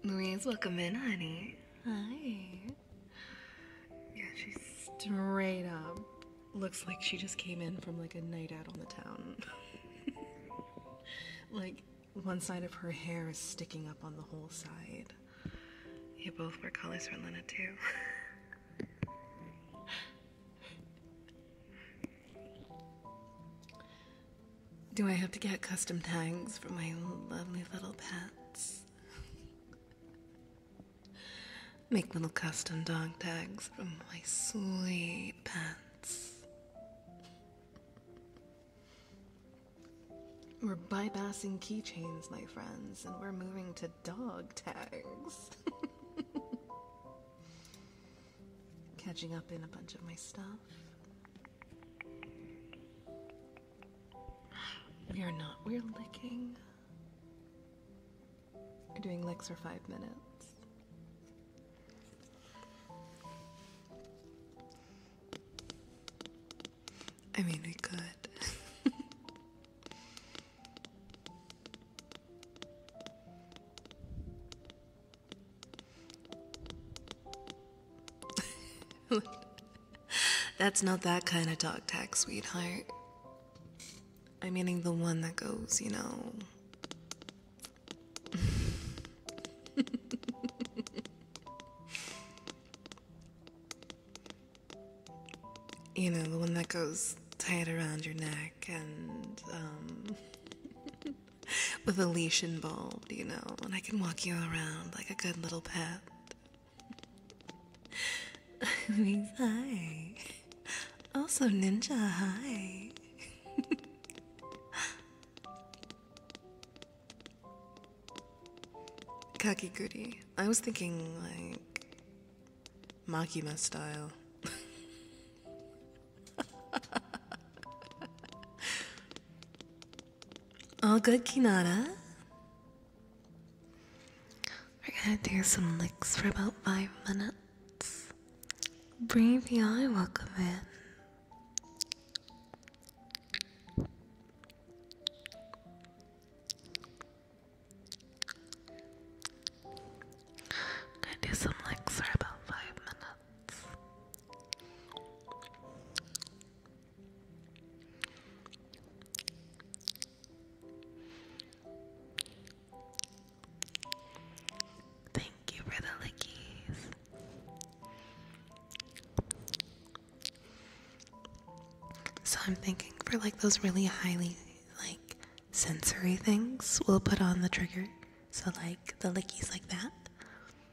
Louise, welcome in, honey. Hi. Yeah, she's straight up. Looks like she just came in from like a night out on the town. *laughs* like, one side of her hair is sticking up on the whole side. You both wear colors for Lena, too. *laughs* Do I have to get custom tags for my lovely little pets? Make little custom dog tags for my sweet pets. We're bypassing keychains, my friends, and we're moving to dog tags. *laughs* catching up in a bunch of my stuff. We are not, we're licking. We're doing licks for five minutes. I mean, we could. *laughs* *laughs* That's not that kind of dog tag, sweetheart. I'm meaning the one that goes, you know. *laughs* you know, the one that goes tight around your neck and, um, *laughs* *laughs* with a leash involved, you know, and I can walk you around like a good little pet. *laughs* hi. Also, Ninja, hi. *laughs* Kakiguri. I was thinking, like, Makima style. All good, Kinada. We're gonna do some licks for about five minutes. Breathe the welcome in. I'm gonna do some licks for about five minutes. Thank you for the lickies. So I'm thinking for like those really highly like sensory things, we'll put on the trigger. So like the lickies like that.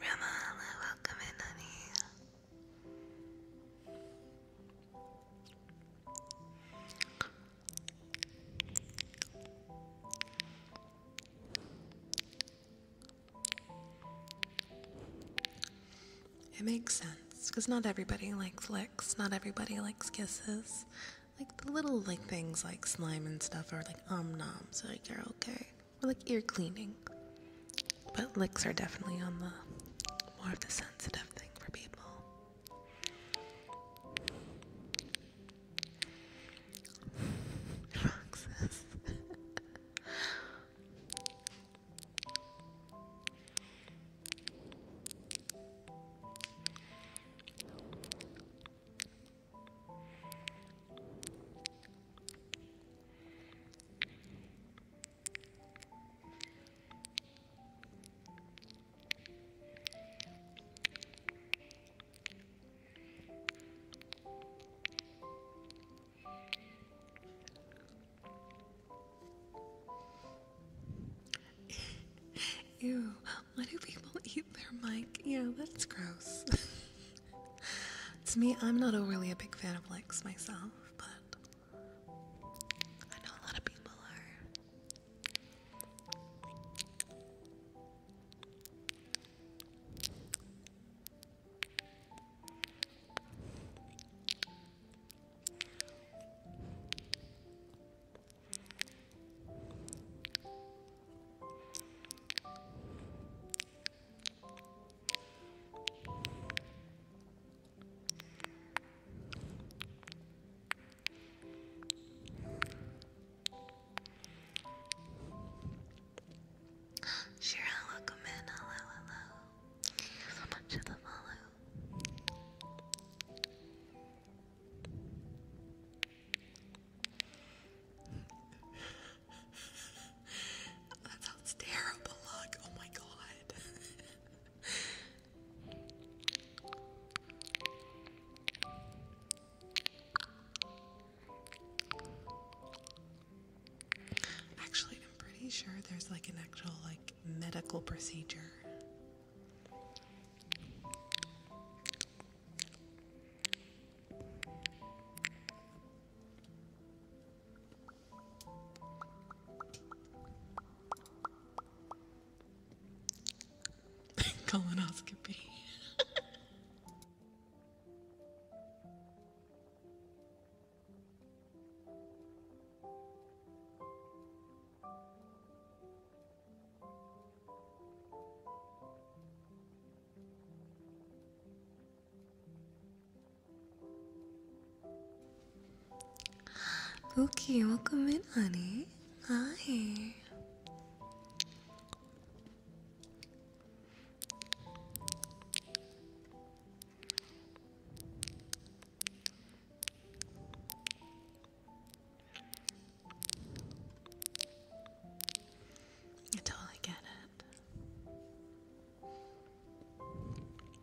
Ramala, welcome in, honey. It makes sense because not everybody likes licks, not everybody likes kisses. Like the little like things like slime and stuff are like um noms, so, like you're okay. Or like ear cleaning. But licks are definitely on the more of the sensitive thing for people. Roxas. Ew, why do people eat their mic? Yeah, that's gross. *laughs* to me, I'm not overly a big fan of licks myself but I know a lot of people are. Cheryl, welcome in. Hello, hello. Thank you much for the follow. *laughs* that sounds terrible luck. Oh my god. Actually, I'm pretty sure there's like an actual like medical procedure. *laughs* Colonoscopy. Okay, welcome in, honey. Hi. I totally get it.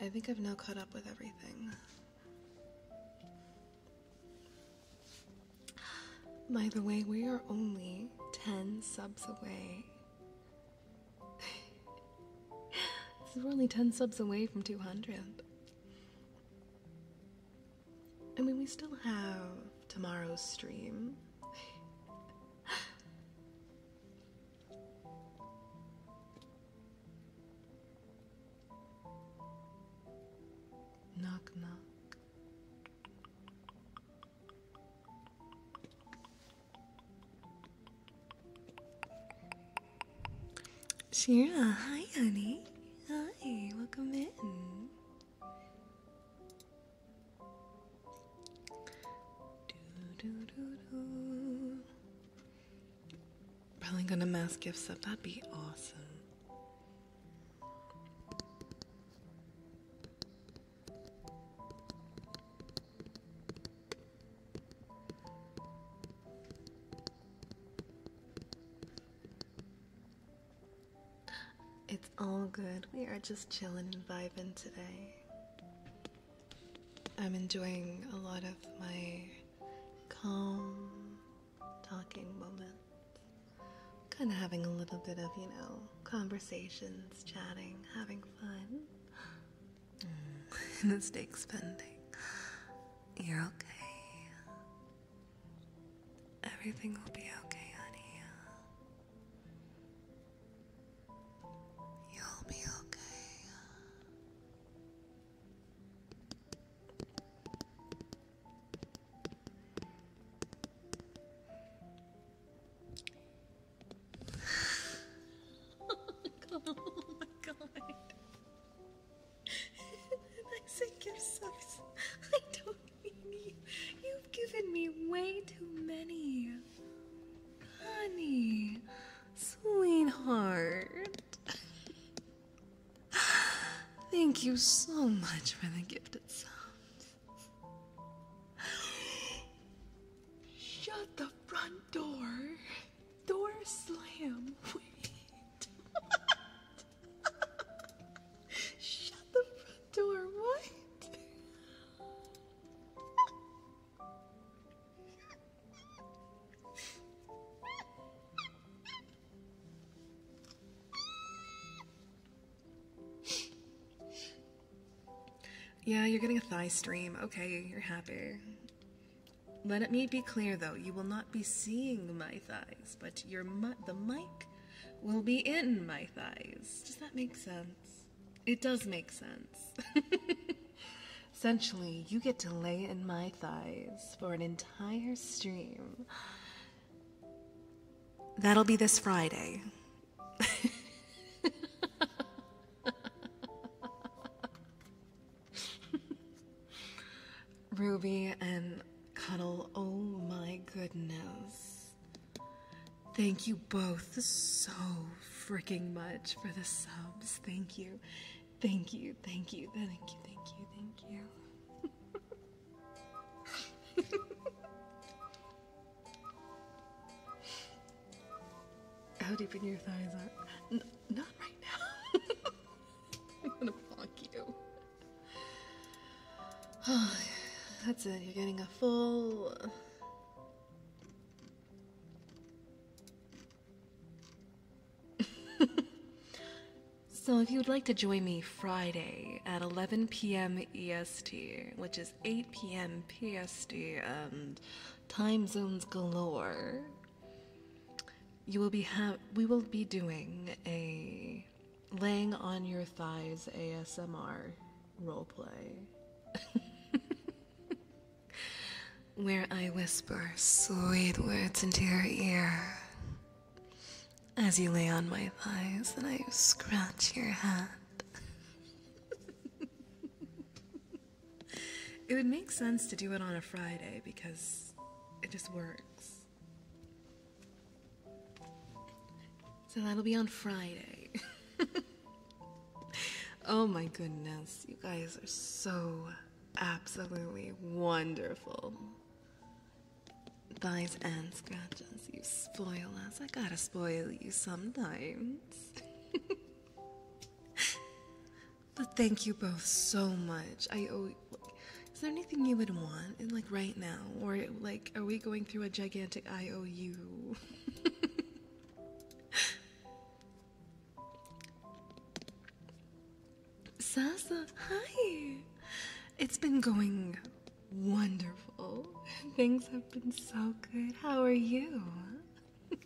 I think I've now caught up with everything. By the way, we are only 10 subs away. *laughs* we're only 10 subs away from 200. I mean, we still have tomorrow's stream. Knock, knock. Shira, hi, honey. Hi, welcome in. Probably gonna mass gifts up. That'd be awesome. It's all good. We are just chilling and vibing today. I'm enjoying a lot of my calm talking moments. Kind of having a little bit of, you know, conversations, chatting, having fun. Mm. Mistake *laughs* spending. You're okay. Everything will be okay, honey. You'll be okay. *laughs* oh my god, oh I think you I don't mean you. You've given me way too many. Honey, sweetheart. Thank you so much for the gift itself. Shut the front door. Door slam. Wait. *laughs* Shut the front door. What? Yeah, you're getting a thigh stream. Okay, you're happy. Let me be clear though, you will not be seeing my thighs, but your the mic will be in my thighs. Does that make sense? It does make sense. *laughs* Essentially, you get to lay in my thighs for an entire stream. That'll be this Friday. *laughs* Ruby and Cuddle, oh my goodness. Thank you both so freaking much for the subs. Thank you. Thank you. Thank you. Thank you. Thank you. Thank you. How deep in your thighs are? not right now. *laughs* I'm gonna block you. *sighs* that's it. You're getting a full *laughs* so if you would like to join me Friday at 11 p.m. EST, which is 8 p.m. PST and time zones galore, you will be ha we will be doing a laying on your thighs ASMR roleplay. *laughs* where I whisper sweet words into your ear. As you lay on my thighs and I scratch your head. *laughs* it would make sense to do it on a Friday because it just works. So that'll be on Friday. *laughs* oh my goodness, you guys are so absolutely wonderful. Thighs and scratches, you spoil us. I gotta spoil you sometimes. *laughs* but thank you both so much. I owe. Like, is there anything you would want, like right now, or like, are we going through a gigantic IOU? *laughs* Sasa, hi! It's been going wonderful. *laughs* Things have been so good. How are you? *laughs*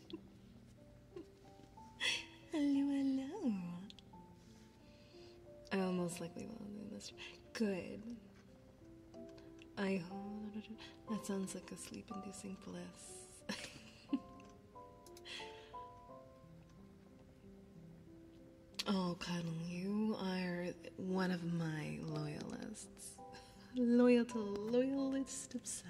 hello, hello. I almost like we will do this. Good. I hope that sounds like a sleep inducing bliss. *laughs* oh, Cuddle, you are one of my loyalists. Loyal to loyalist of subs.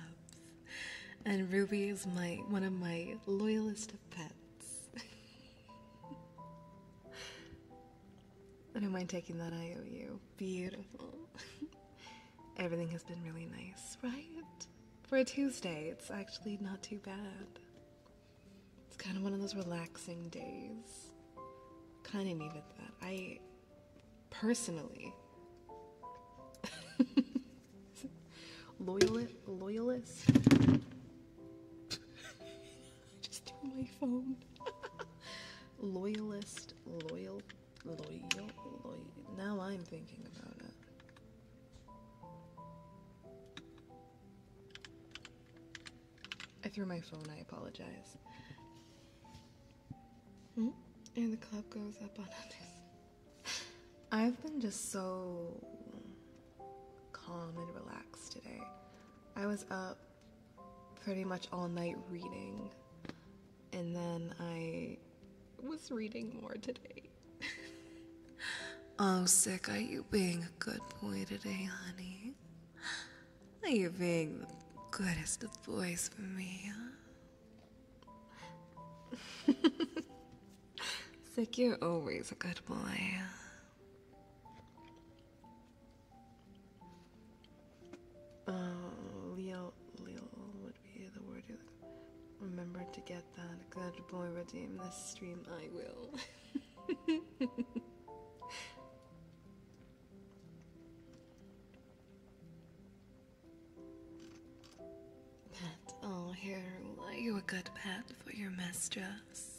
And Ruby is my one of my loyalist of pets. *laughs* I don't mind taking that IOU. Beautiful. *laughs* Everything has been really nice, right? For a Tuesday, it's actually not too bad. It's kind of one of those relaxing days. Kind of needed that. I personally. *laughs* loyalist loyalist? *laughs* Just do my phone. *laughs* loyalist, loyal, now I'm thinking about it. I threw my phone, I apologize. Hmm? And the club goes up on us. *laughs* I've been just so calm and relaxed today. I was up pretty much all night reading. And then I was reading more today. oh, sick. Are you being a good boy today, honey? Are you being the goodest of boys for me, huh? *laughs* sick, you're always a good boy. Uh, Leo, Leo, would the word remember to get that acceptable redeem this stream I will Pat, *laughs* oh here are you a good pet for your mistress?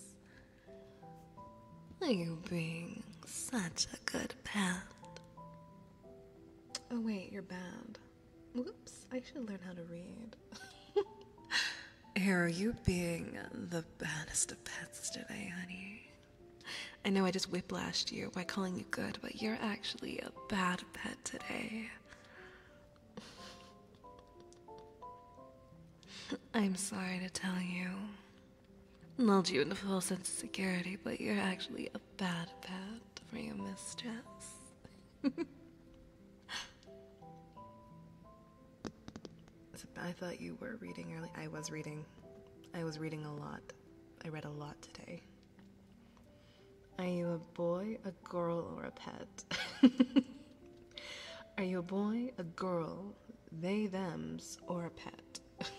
Are you being such a good pet? Oh wait, you're bad. Oops! I should learn how to read. *laughs* are you being the baddest of pets today, honey? I know I just whiplashed you by calling you good, but you're actually a bad pet today. *laughs* I'm sorry to tell you. Lulled you into false sense of security, but you're actually a. Bad, bad for your mistress. *laughs* I thought you were reading early. I was reading. I was reading a lot. I read a lot today. Are you a boy, a girl, or a pet? *laughs* Are you a boy, a girl, they, thems, or a pet? *laughs*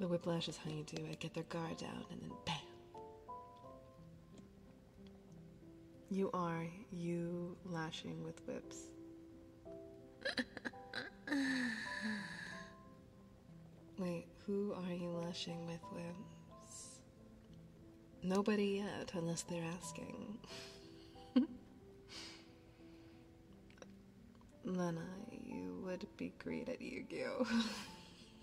The whiplashes, how you do it. Get their guard down and then bam. You are you lashing with whips. *laughs* Wait, who are you lashing with whips? Nobody yet, unless they're asking. Lena, *laughs* you would be great at Yu *laughs*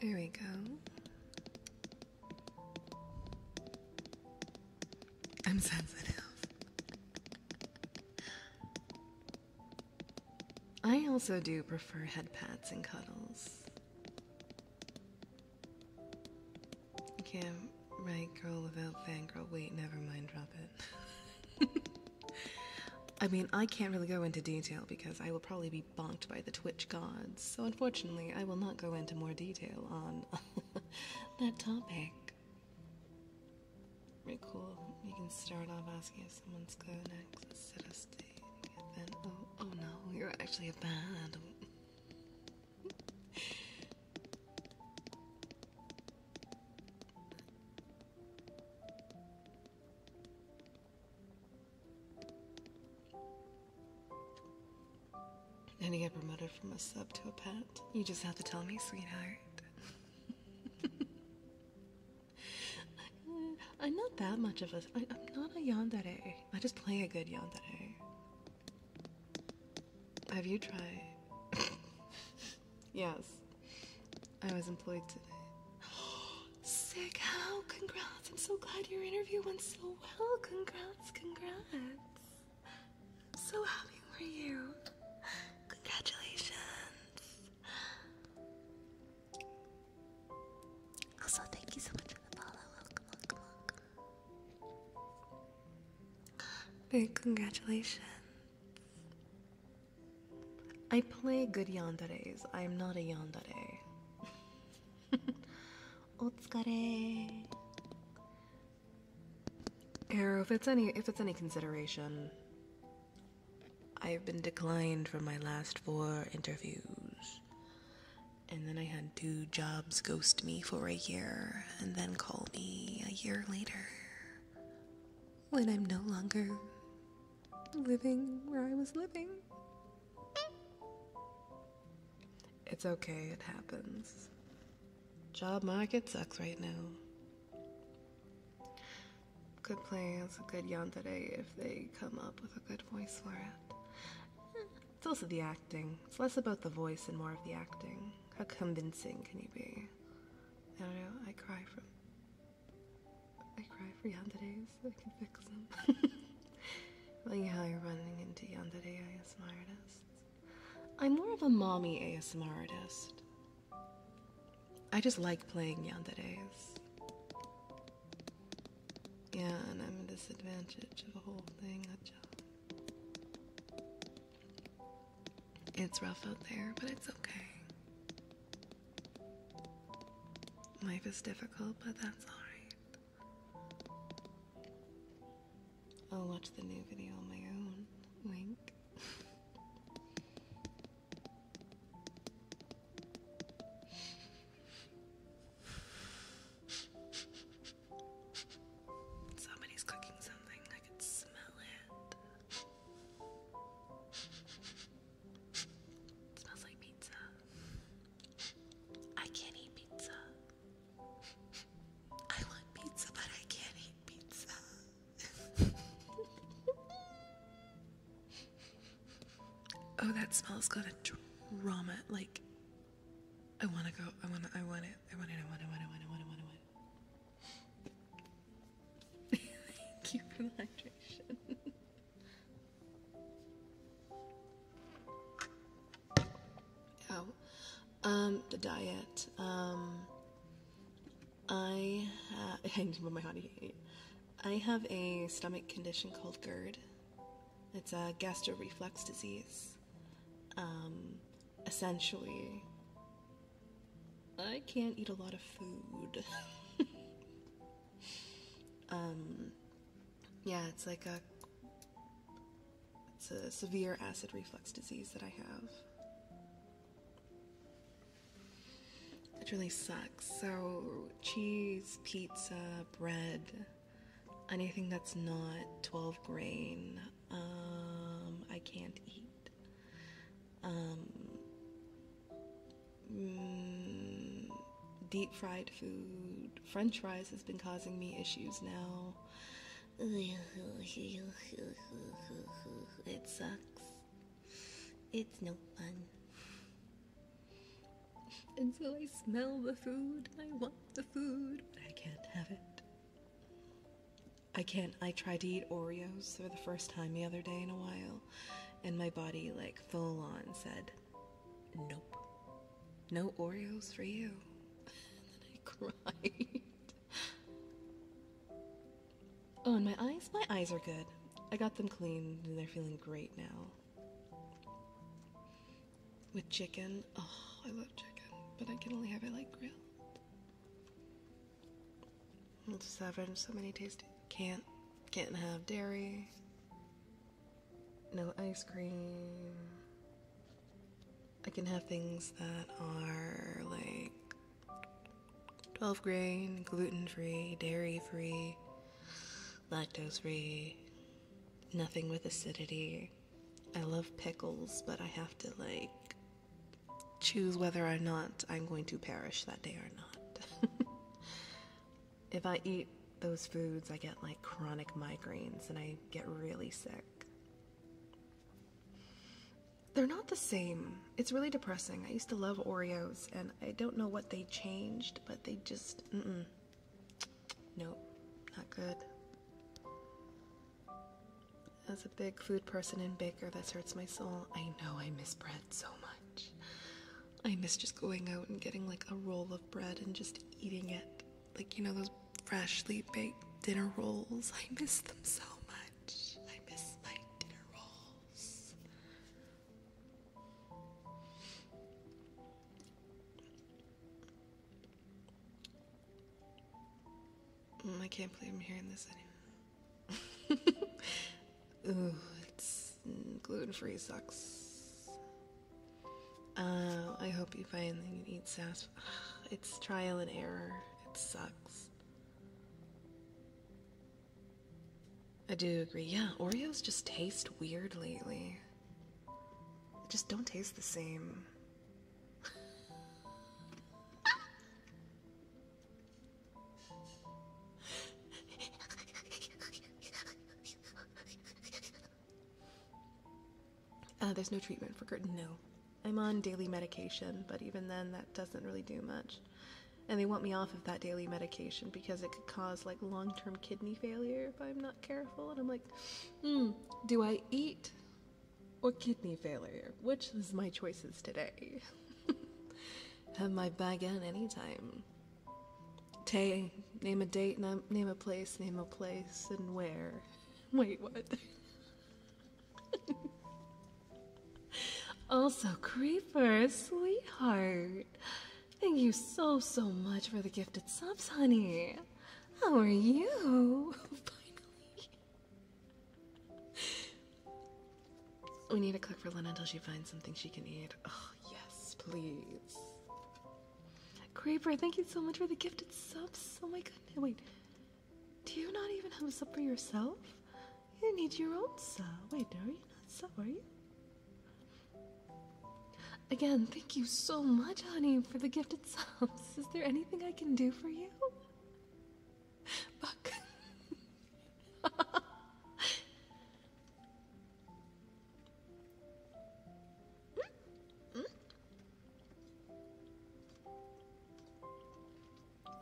There we go. I'm sensitive. I also do prefer head and cuddles. You can't write girl without girl. Wait, never mind, drop it. *laughs* I mean, I can't really go into detail because I will probably be bonked by the Twitch gods, so unfortunately, I will not go into more detail on *laughs* that topic. Very cool. You can start off asking if someone's good next set of state, oh no, you're actually a bad. And he got promoted from a sub to a pet. You just have to tell me, sweetheart. *laughs* I'm not that much of a. I, I'm not a yandere. I just play a good yandere. Have you tried? *laughs* yes. I was employed today. *gasps* *gasps* *gasps* sick. How? Oh, congrats. I'm so glad your interview went so well. Congrats, congrats. I'm so happy for you. Congratulations. Also, thank you so much for the follow. welcome, welcome. Big congratulations. I play good yanderes. I am not a yandere. *laughs* *laughs* お疲れ。Arrow, if it's any if it's any consideration, I've been declined from my last four interviews. And then I had two jobs ghost me for a year and then call me a year later when I'm no longer living where I was living. It's okay, it happens. Job market sucks right now. Good plans, good yawn today if they come up with a good voice for it. It's also the acting. It's less about the voice and more of the acting. How convincing can you be? I don't know, I cry from I cry for Yandere's. I can fix them. *laughs* like how you're running into yandere ASMR I'm more of a mommy ASMR artist. I just like playing yandere's. Yeah, and I'm a disadvantage of the whole thing. It's rough out there, but it's okay. Life is difficult, but that's alright. I'll watch the new video on my own. Wink. Somebody's cooking something. I can smell it. smells like pizza. I can't eat pizza. I want pizza, but I can't eat pizza. oh, that smells got a drama. Like, I want to go. I want. I want it. I want it. I want it. I want it. I want it. I want it. I want it. *laughs* Thank you for the hydration. *laughs* Ow. Oh, um, the diet. Um, I *laughs* I need to move my body. I have a stomach condition called GERD. It's a gastroreflex disease. Um, essentially, I can't eat a lot of food. *laughs* um, yeah, it's like a it's a severe acid reflux disease that I have. It really sucks. So cheese, pizza, bread, anything that's not 12 grain, um, I can't eat. Um, mm, deep fried food, french fries has been causing me issues now. *laughs* It sucks. It's no fun. And so I smell the food, I want the food, but I can't have it. I can't. I tried to eat Oreos for the first time the other day in a while, and my body, like, full on said, Nope. No Oreos for you. *laughs* oh, and my eyes? My eyes are good. I got them cleaned and they're feeling great now. With chicken. Oh, I love chicken, but I can only have it like grilled. It's seven, so many tastes. Can't, can't have dairy no ice cream. I can have things that are like 12 grain, gluten free, dairy free, lactose free, nothing with acidity. I love pickles, but I have to like choose whether or not I'm going to perish that day or not. *laughs* If I eat those foods, I get like chronic migraines and I get really sick. They're not the same. It's really depressing. I used to love Oreos and I don't know what they changed, but they just, mm mm. Nope, not good. As a big food person and baker, this hurts my soul. I know I miss bread so much. I miss just going out and getting like a roll of bread and just eating it. Like, you know, those freshly baked dinner rolls. I miss them so much. I miss my dinner rolls. Mm, I can't believe I'm hearing this anymore. *laughs* Ooh, it's mm, gluten free sucks. Uh, I hope you find that finally eat sassafras. *sighs* It's trial and error. It sucks. I do agree. Yeah, Oreos just taste weird lately. They just don't taste the same. *laughs* Uh, there's no treatment for GERD. No. I'm on daily medication, but even then, that doesn't really do much. And they want me off of that daily medication because it could cause like long term kidney failure if I'm not careful. And I'm like, hmm, do I eat or kidney failure? Which is my choices today? *laughs* Have my bag in anytime. Tay, name a date, name a place, name a place, and where. *laughs* Wait, what? *laughs* also, Creeper, sweetheart. Thank you so, so much for the gifted subs, honey. How are you? *laughs* Finally. We need to cook for Lena until she finds something she can eat. Oh, yes, please. Creeper, thank you so much for the gifted subs. Oh my goodness. Wait, do you not even have a sub for yourself? You need your own sub. Wait, are you not sub? Are you? Again, thank you so much, honey, for the gifted subs. *laughs* Is there anything I can do for you? Buck. *laughs*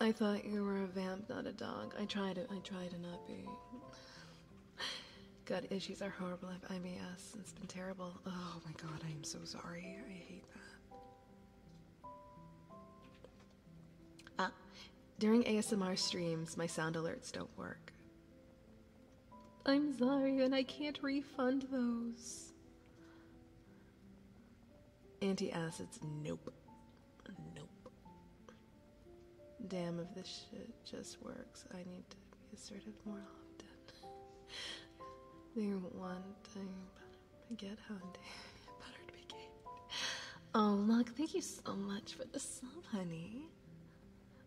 I thought you were a vamp, not a dog. I tried to, I tried to not be. Gut issues are horrible. I've IBS. It's been terrible. Oh my god, I am so sorry. I hate that. Ah, during ASMR streams, my sound alerts don't work. I'm sorry, and I can't refund those. Antacids, nope. Nope. Damn, if this shit just works, I need to be assertive more often. *laughs* There one to get honey *laughs* buttered baguette. Oh, look, thank you so much for the sub, honey.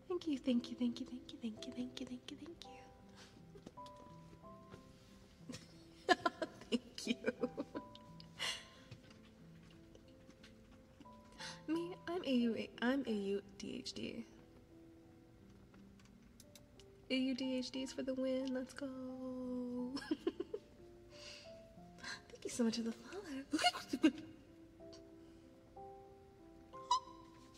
Thank you, thank you, thank you, thank you, thank you, thank you, thank you, thank you. *laughs* Thank you. Me, I'm AU. I'm AU DHD. AU DHD's for the win. Let's go. *laughs* Thank you so much for the follow. *laughs*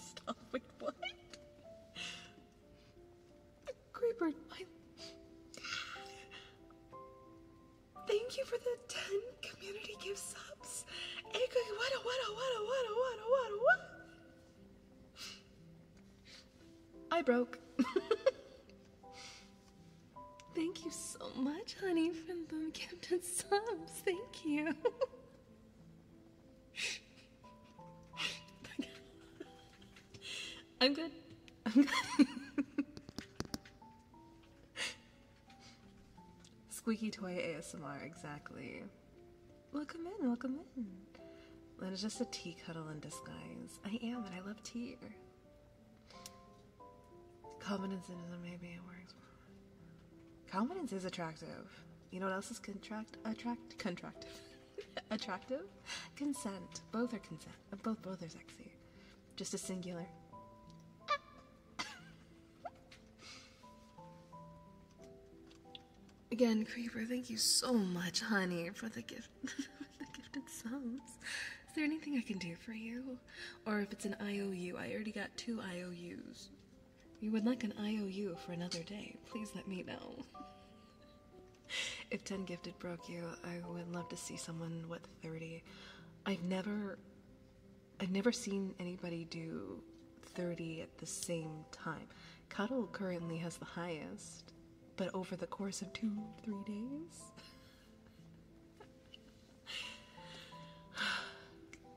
stop. Wait, what? The creeper, Thank you for the 10 community gift What what what what what what what? I broke. *laughs* Thank you so much, honey, for the gift and sub. Thank you. *laughs* I'm good. I'm good. Squeaky toy ASMR, exactly. Welcome in, welcome in. That is just a tea cuddle in disguise. I am, and I love tea. Combinationism maybe it works. Confidence is attractive. You know what else is contract attract contractive? *laughs* attractive? Consent. Both are consent. Uh, both both are sexy. Just a singular. Again, Creeper, thank you so much, honey, for the gift *laughs* the gifted sums. Is there anything I can do for you? Or if it's an IOU, I already got two IOUs. You would like an IOU for another day. Please let me know. if 10 Gifted broke you, I would love to see someone with 30. I've never I've never seen anybody do 30 at the same time. Cuddle currently has the highest, but over the course of two, three days. *sighs* *sighs* *sighs*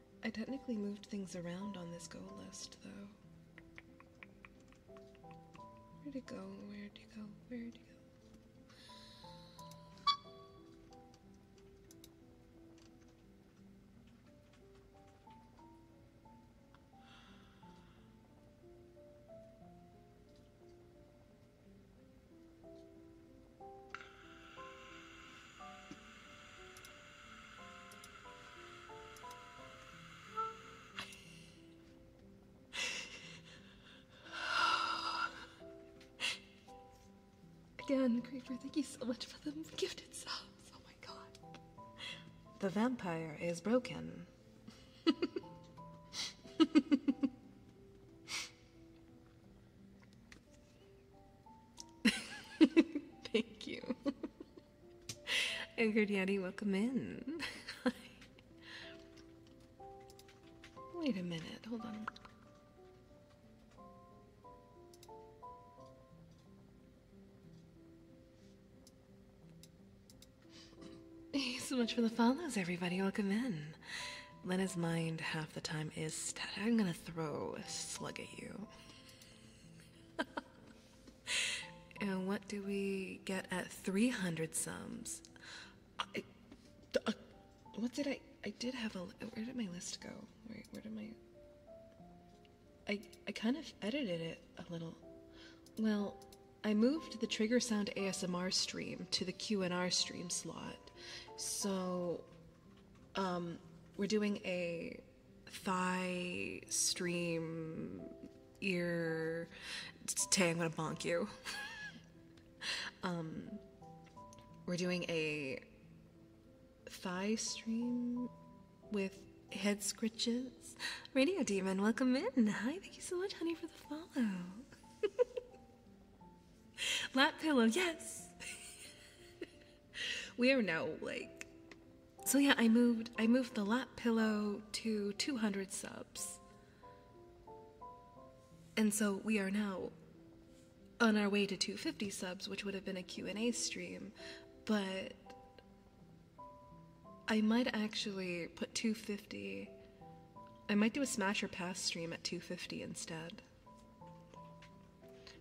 I technically moved things around on this goal list though. Where'd it go? Where'd it go? Where'd it go? Again, Creeper, thank you so much for the gifted subs. Oh my god. The vampire is broken. *laughs* *laughs* Thank you. Angered Yeti, welcome in. *laughs* Wait a minute, hold on. Hey, so much for the follows, everybody. Welcome in. Lena's mind half the time is stat. I'm gonna throw a slug at you. *laughs* and what do we get at 300 sums? Uh, what did I? I did have a. Where did my list go? Where, did my. I, I kind of edited it a little. Well, I moved the Trigger Sound ASMR stream to the QNR stream slot. So, um, we're doing a thigh, stream, ear. Today I'm gonna bonk you. *laughs* Um, we're doing a thigh stream with head scritches. Radio Demon, welcome in. Hi, thank you so much, honey, for the follow. *laughs* Lap pillow, yes. *laughs* *laughs* we are now like so yeah i moved i moved the lap pillow to 200 subs and so we are now on our way to 250 subs which would have been a q&a stream but i might actually put 250 i might do a smash or pass stream at 250 instead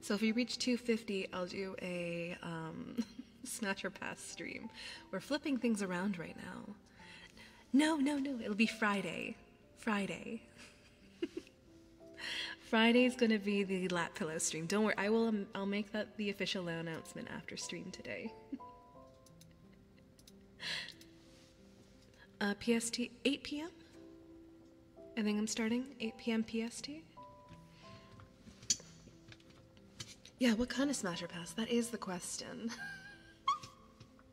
so if we reach 250, I'll do a um, *laughs* snatcher pass stream. We're flipping things around right now. No, no, no, it'll be Friday. Friday. *laughs* Friday is gonna be the lap pillow stream. Don't worry, I will. Um, I'll make that the official announcement after stream today. *laughs* Uh, PST 8 p.m. I think I'm starting 8 p.m. PST. Yeah, what kind of smasher pass? That is the question. *laughs*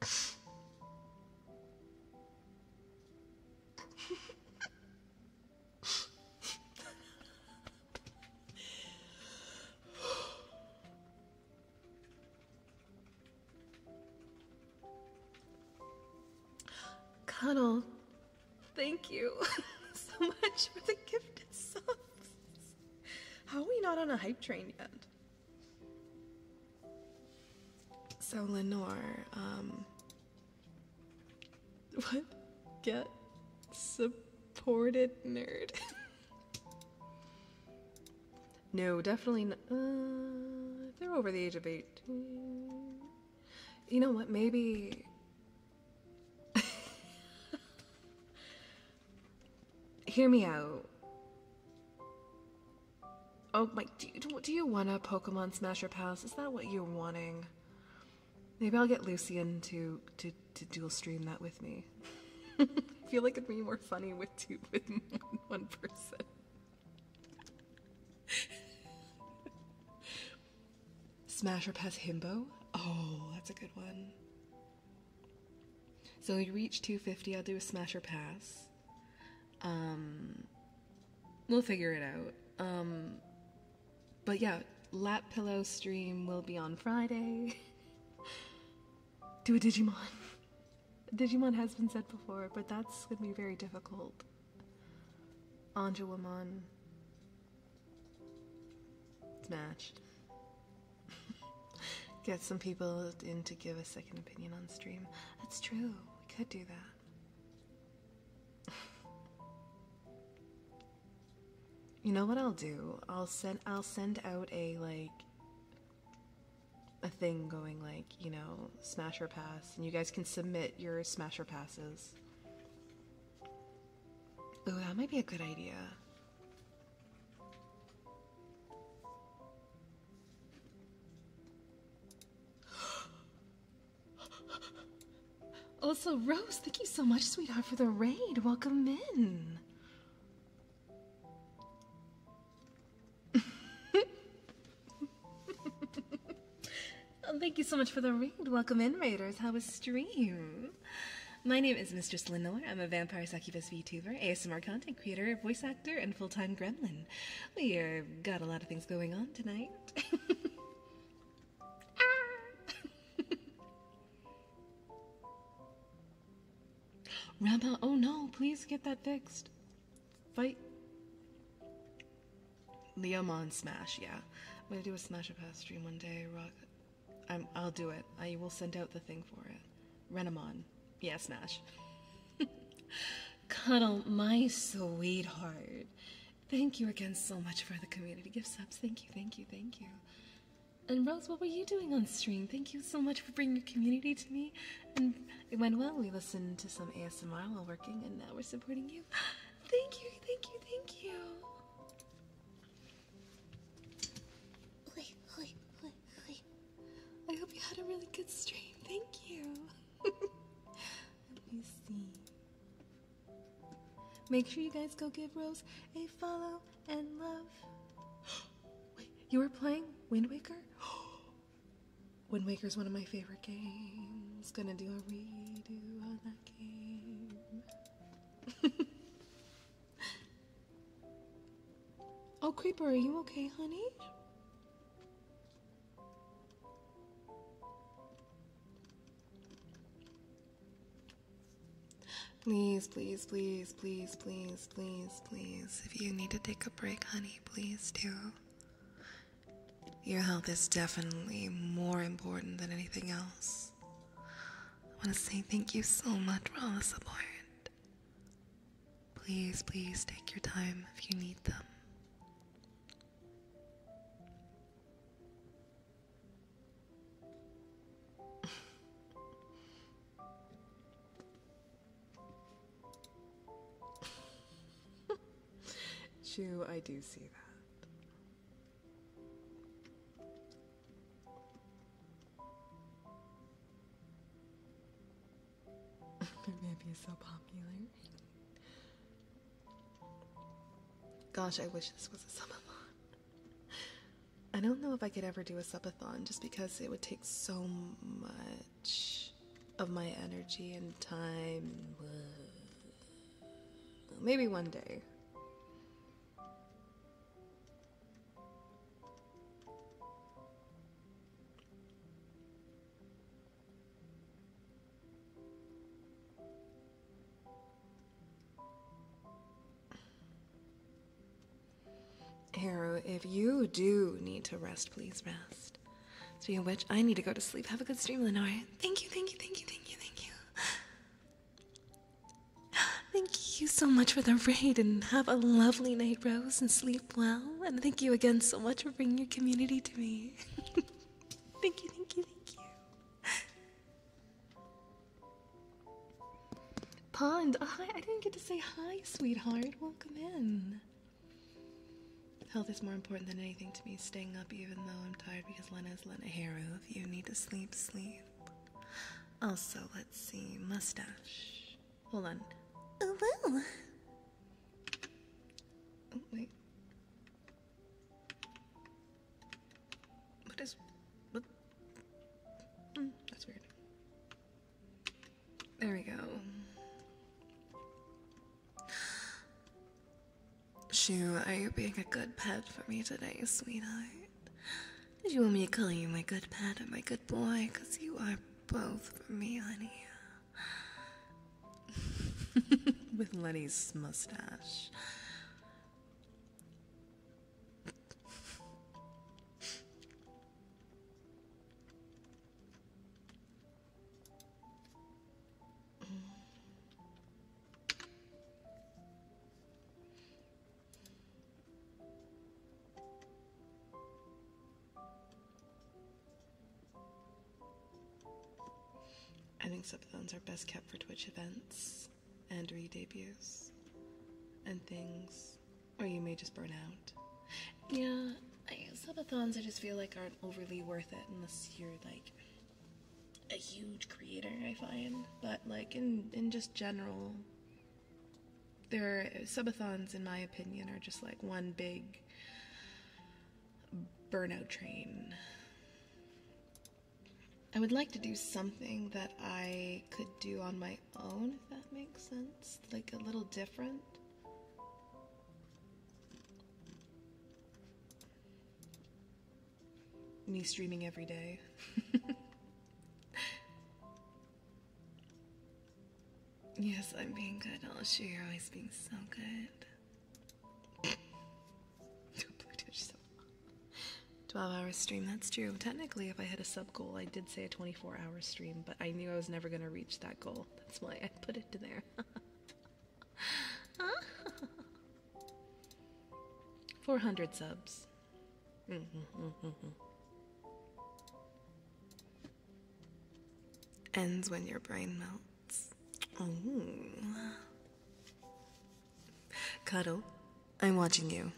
Cuddle, Thank you *laughs* so much for the gifted songs. How are we not on a hype train yet? So Lenore, um, *laughs* what? Get supported nerd. *laughs* no, definitely not. Uh, they're over the age of 18. You know what? Maybe *laughs* Hear me out. Oh my, do you, do you want a Pokemon Smasher Pass? Is that what you're wanting? Maybe I'll get Lucian to to, to dual stream that with me. *laughs* I feel like it'd be more funny with two with *laughs* one person. Smasher Pass Himbo? Oh, that's a good one. So we reach 250, I'll do a Smasher Pass. Um, we'll figure it out. Um, but yeah, Lap Pillow stream will be on Friday. *laughs* do a Digimon. Digimon has been said before, but that's gonna be very difficult. Anjawamon. It's *laughs* matched. Get some people in to give a second opinion on stream. That's true. We could do that. *laughs* you know what I'll do? I'll send I'll send out a like a thing going like, you know, Smasher pass and you guys can submit your smasher passes. Ooh, that might be a good idea. *gasps* Also, Rose, thank you so much, sweetheart, for the raid. Welcome in. *laughs* Oh, thank you so much for the raid. Welcome in, Raiders. How was stream? My name is Mistress Lenore. I'm a vampire succubus VTuber, ASMR content creator, voice actor, and full time gremlin. We are, uh, got a lot of things going on tonight. *laughs* ah. oh no, please get that fixed. Fight. Liam on Smash, yeah. I'm gonna do a Smash a Pass stream one day. i will do it. I will send out the thing for it. Renamon, yeah, Smash. *laughs* Cuddle, my sweetheart. Thank you again so much for the community gift subs. Thank you, thank you, thank you. And Rose, what were you doing on stream? Thank you so much for bringing your community to me. And it went well. We listened to some ASMR while working, and now we're supporting you. Thank you, thank you, thank you. I hope you had a really good stream. Thank you. *laughs* Let me see. Make sure you guys go give Rose a follow and love. *gasps* you were playing Wind Waker? *gasps* Wind Waker is one of my favorite games. Gonna do a redo on that game. *laughs* oh, Creeper, are you okay, honey? Please, please, please, please, please, please, please. If you need to take a break, honey, please do. Your health is definitely more important than anything else. I want to say thank you so much for all the support. Please, please take your time if you need them. *laughs* Chew, I do see that. Maybe is so popular. Gosh, I wish this was a subathon. I don't know if I could ever do a subathon just because it would take so much of my energy and time. Maybe one day. Haru. if you do need to rest, please rest. Speaking of which, I need to go to sleep. Have a good stream, Lenore. Thank you, thank you, thank you, thank you, thank you. *gasps* Thank you so much for the raid and have a lovely night, Rose, and sleep well. And thank you again so much for bringing your community to me. *laughs* thank you, thank you, thank you. Pond, oh, hi, I didn't get to say hi, sweetheart. Welcome in. Health is more important than anything to me. Staying up even though I'm tired because is Lena's Lena Haru. If you need to sleep, sleep. Also, let's see. Mustache. Hold on. Oh, wow. Oh, wait. What is. What? Mm, that's weird. There we go are you being a good pet for me today, sweetheart. Did you want me to call you my good pet or my good boy? Because you are both for me, honey. *laughs* With Lenny's mustache. I think subathons are best kept for Twitch events and re debuts and things, or you may just burn out. Yeah, I, subathons I just feel like aren't overly worth it unless you're like a huge creator, I find, but like in, in just general, their subathons, in my opinion, are just like one big burnout train. I would like to do something that I could do on my own, if that makes sense, like a little different me streaming every day. *laughs* yes, I'm being good. I'll show you're always being so good. 12 hours stream, that's true. Technically, if I had a sub goal, I did say a 24 hour stream, but I knew I was never going to reach that goal. That's why I put it to there. *laughs* 400 subs. Mm-hmm. Ends when your brain melts. Ooh. Cuddle, I'm watching you.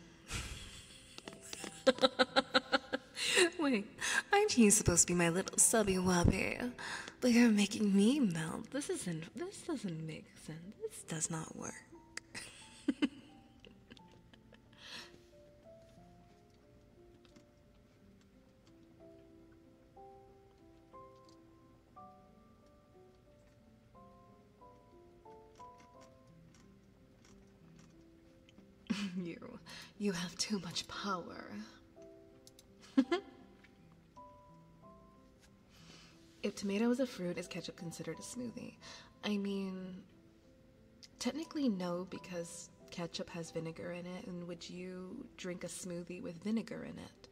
*laughs* Wait, aren't you supposed to be my little subby wubby? But you're making me melt. This isn't. This doesn't make this does not work. *laughs* you you have too much power. *laughs* If tomato is a fruit, is ketchup considered a smoothie? I mean, technically no, because ketchup has vinegar in it, and would you drink a smoothie with vinegar in it?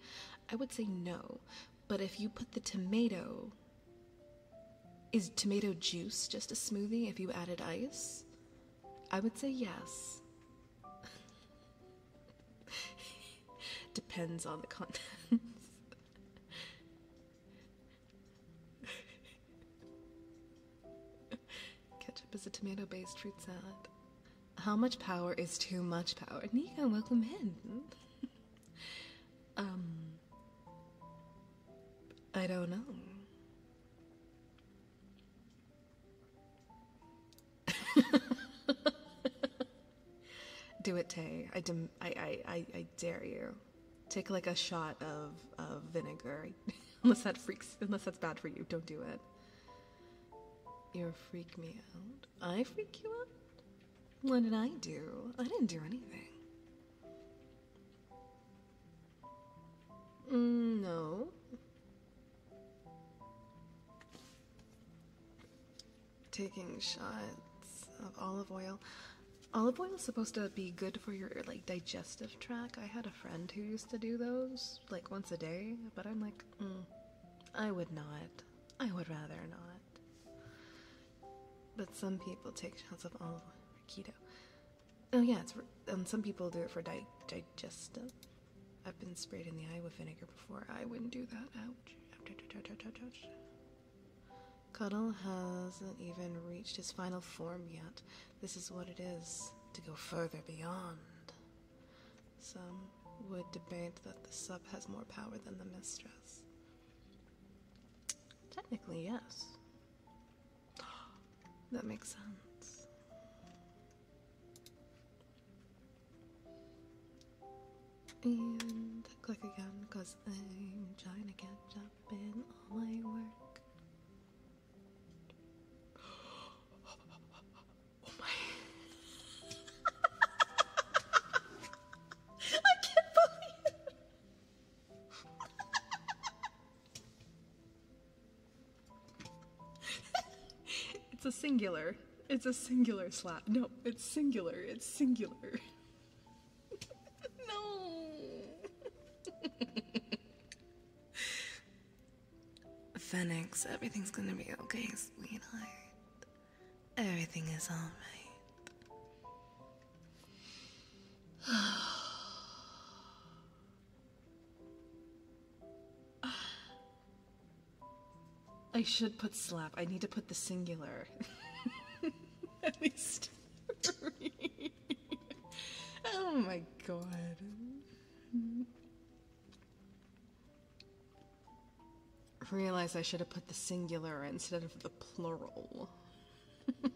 I would say no, but if you put the tomato, is tomato juice just a smoothie if you added ice? I would say yes. *laughs* Depends on the contents. Ketchup is a tomato based fruit salad. How much power is too much power? Nika, welcome in. *laughs* um, I don't know. *laughs* Do it, Tay. I, I, I, I, dare you. Take like a shot of, of vinegar. *laughs* unless that freaks, unless that's bad for you, don't do it. You freak me out. I freak you out? What did I do? I didn't do anything. Mm, no taking shots of olive oil. Olive oil is supposed to be good for your like digestive tract. I had a friend who used to do those like once a day, but I'm like, mm, I would not. I would rather not. But some people take shots of olive oil for keto. Oh yeah, it's and some people do it for di digestive. I've been sprayed in the eye with vinegar before. I wouldn't do that. Ouch. Cuddle hasn't even reached his final form yet. This is what it is to go further beyond. Some would debate that the sub has more power than the mistress. Technically, yes. That makes sense. And click again because I'm trying to catch up in all my work. *gasps* Oh my. *laughs* I can't believe it. *laughs* it's a singular. It's a singular slap. No, it's singular. It's singular no. Phoenix, everything's gonna be okay, sweetheart. Everything is alright. I should put slap. I need to put the singular. *laughs* oh my god. Realize I should have put the singular instead of the plural. *laughs*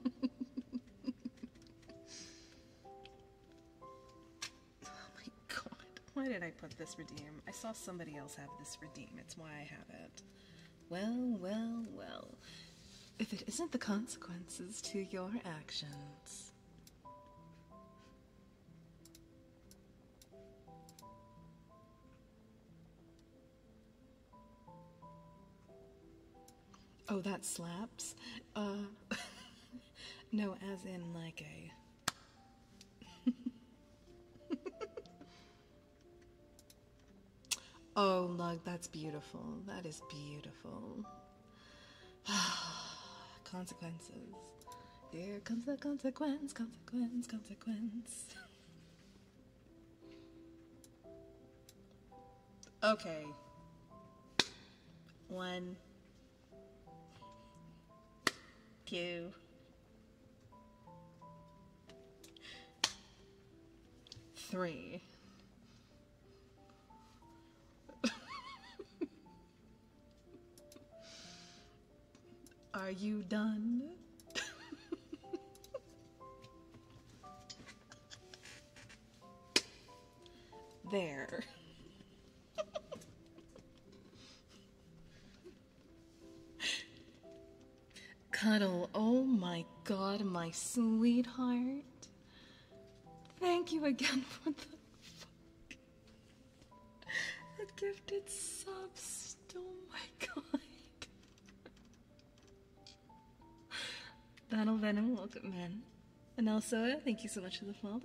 Oh why did I put this redeem? I saw somebody else have this redeem. It's why I have it. Well, well, well. If it isn't the consequences to your actions. Oh, that slaps? Uh, *laughs* no, as in like a. Oh, Lug, that's beautiful. That is beautiful. *sighs* Consequences. Here comes the consequence, consequence, consequence. Okay. One, two, Three. Are you done? there. Cuddle, oh my god, my sweetheart. Thank you again for the, the gifted subs. Oh my god. Battle Venom, welcome men. And also, thank you so much for the follow.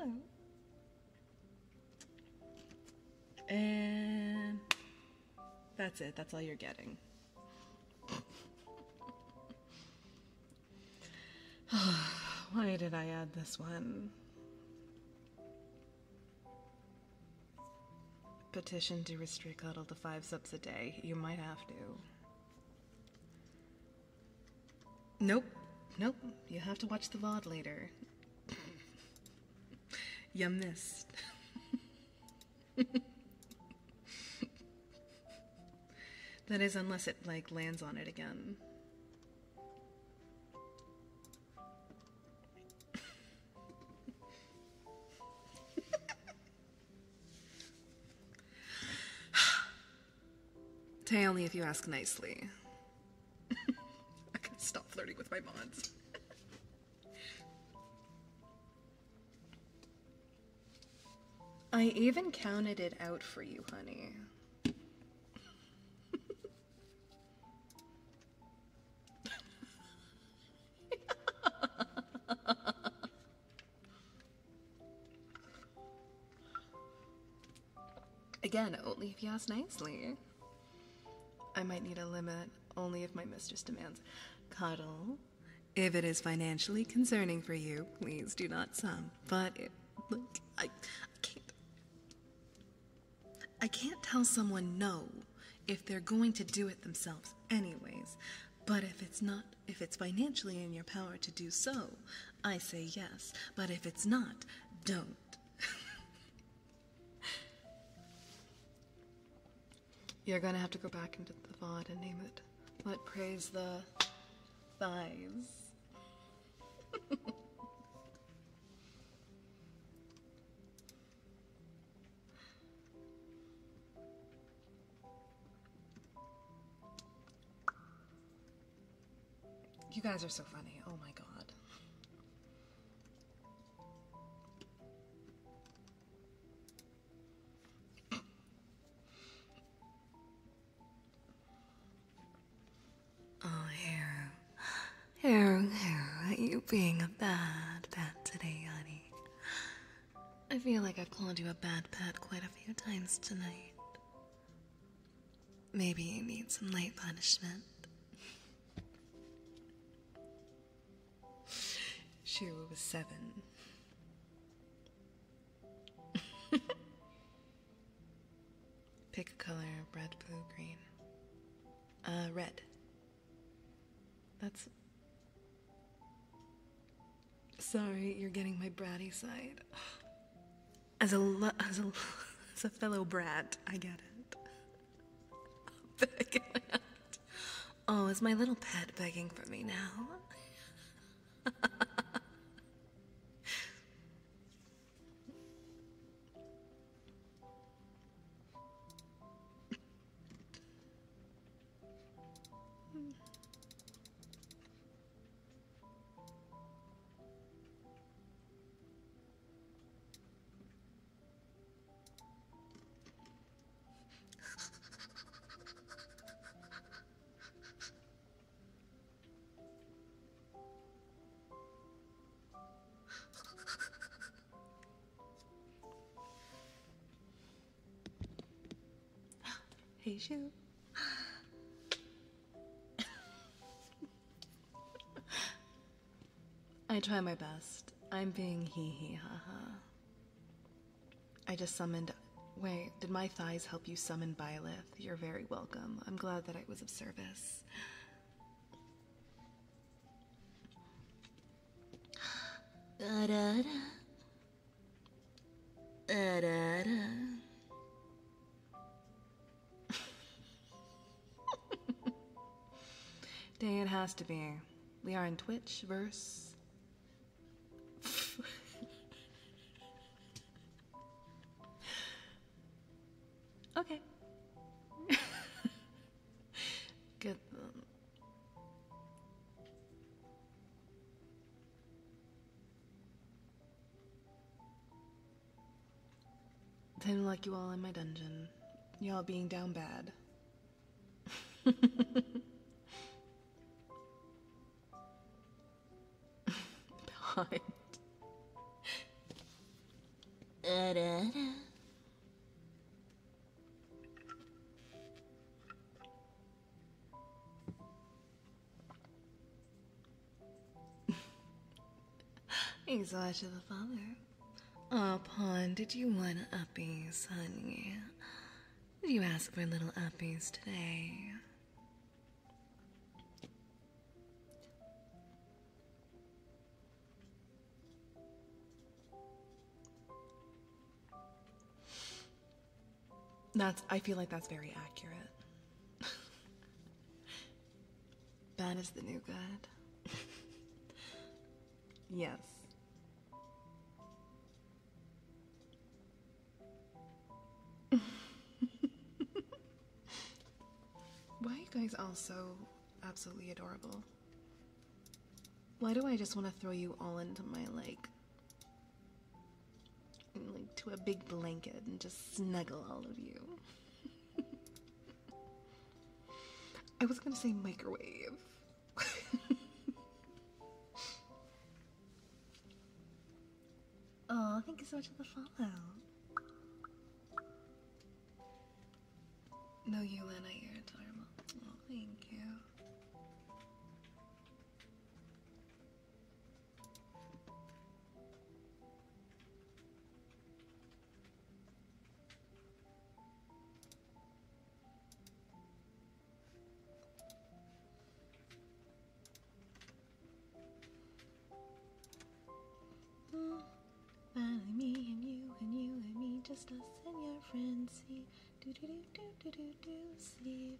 And that's it. That's all you're getting. *sighs* Why did I add this one? Petition to restrict cuddle to five subs a day. You might have to. Nope. Nope. You have to watch the VOD later. *laughs* you missed. *laughs* *laughs* that is, unless it like lands on it again. *laughs* Tay, only if you ask nicely. *laughs* I can stop flirting with my mods. I even counted it out for you, honey. Again, only if you ask nicely. I might need a limit, only if my mistress demands. Cuddle. If it is financially concerning for you, please do not sum. But it, look, I, I can't. I can't tell someone no if they're going to do it themselves, anyways. But if it's not, if it's financially in your power to do so, I say yes. But if it's not, don't. *laughs* You're gonna have to go back into the VOD and name it. Let praise the thighs. *laughs* you guys are so funny. Oh my god. Oh, Haru. Haru, Haru, you being a bad pet today, honey. I feel like I've called you a bad pet quite a few times tonight. Maybe you need some light punishment. She was seven. *laughs* Pick a color red, blue, green. Uh, red. That's. Sorry, you're getting my bratty side. *sighs* As a, as a, *laughs* as a fellow brat, I get it. *laughs* Back out. Oh, is my little pet begging for me now? *laughs* hey, shoe. *laughs* I try my best. I'm being hee hee ha ha. I just summoned. Wait, did my thighs help you summon Byleth? You're very welcome. I'm glad that I was of service. da da da. Da da da. Dang, it has to be. We are in Twitch verse okay. *laughs* Good. Time to not like you all in my dungeon. Y'all being down bad. Uh, da, da, so much of the father. Upon uh, did you want a uppies, honey? Did you ask for little uppies today? That's, I feel like that's very accurate. Bad is the new good. *laughs* yes. *laughs* Why are you guys all so absolutely adorable? Why do I just want to throw you all into my like like to a big blanket and just snuggle all of you? *laughs* I was gonna say microwave oh, *laughs* thank you so much for the follow. No, you, Lena, you're adorable. thank you finally, me and you and you and me, just us and your friends. See, do do do do do do do. See,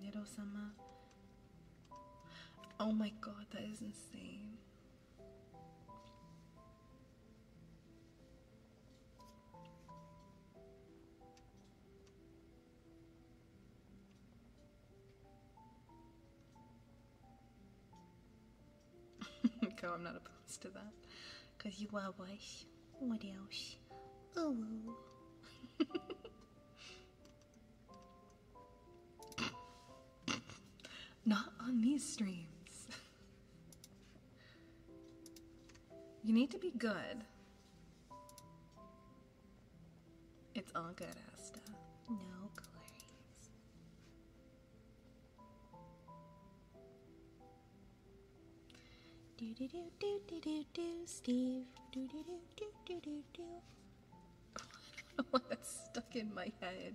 Nero sama. Oh my god, that is insane. *laughs* Go, I'm not opposed to that. Because you are wise. What else? Oh. *laughs* Not on these streams. *laughs* You need to be good. It's all good, Asta. No worries. Do do do do do do do Steve. Do do do do do do do. I don't know *laughs* why that's stuck in my head.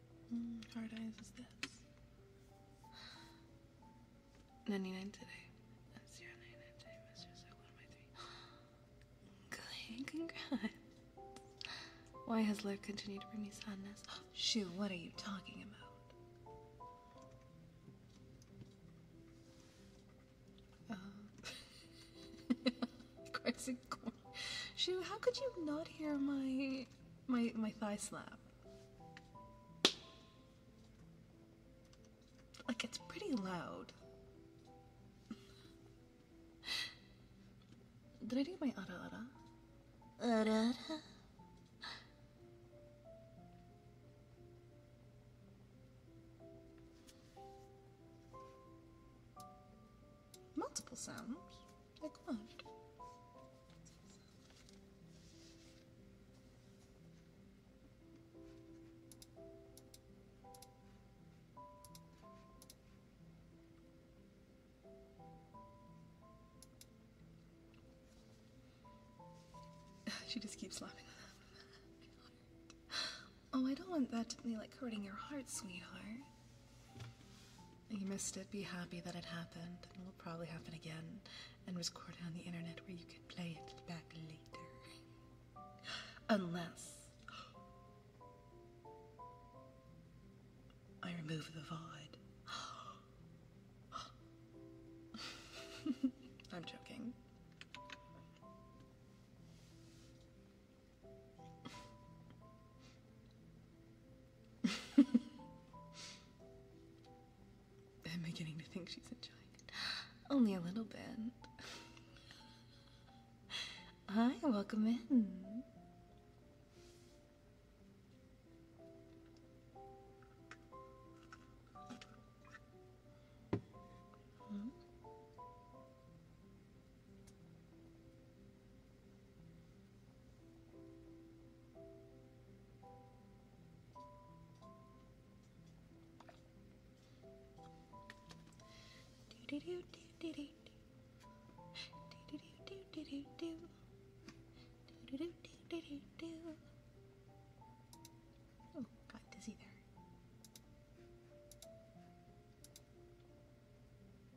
Mm, hard eyes is this. 99 today. That's 099 today. That's *gasps* Congrats. Why has life continued to bring me sadness? *gasps* Shu, what are you talking about? Crazy uh, *laughs* corn. *laughs* how could you not hear my my, my thigh slap. Like, it's pretty loud. Did I do my ara ara? Ara ara? multiple sounds. Come on. *laughs* she just keeps laughing. *laughs* oh, I don't want that to be like hurting your heart, sweetheart. You missed it. Be happy that it happened. And it'll probably happen again. And record it on the internet where you could play it back later. *gasps* Unless I remove the VOD. *gasps* I'm joking. *laughs* I'm beginning to think she's enjoying it. *gasps* Only a little bit. *laughs* Hi, welcome in. Hmm? do do do do do do do do do do do do do do do do Oh, got dizzy there.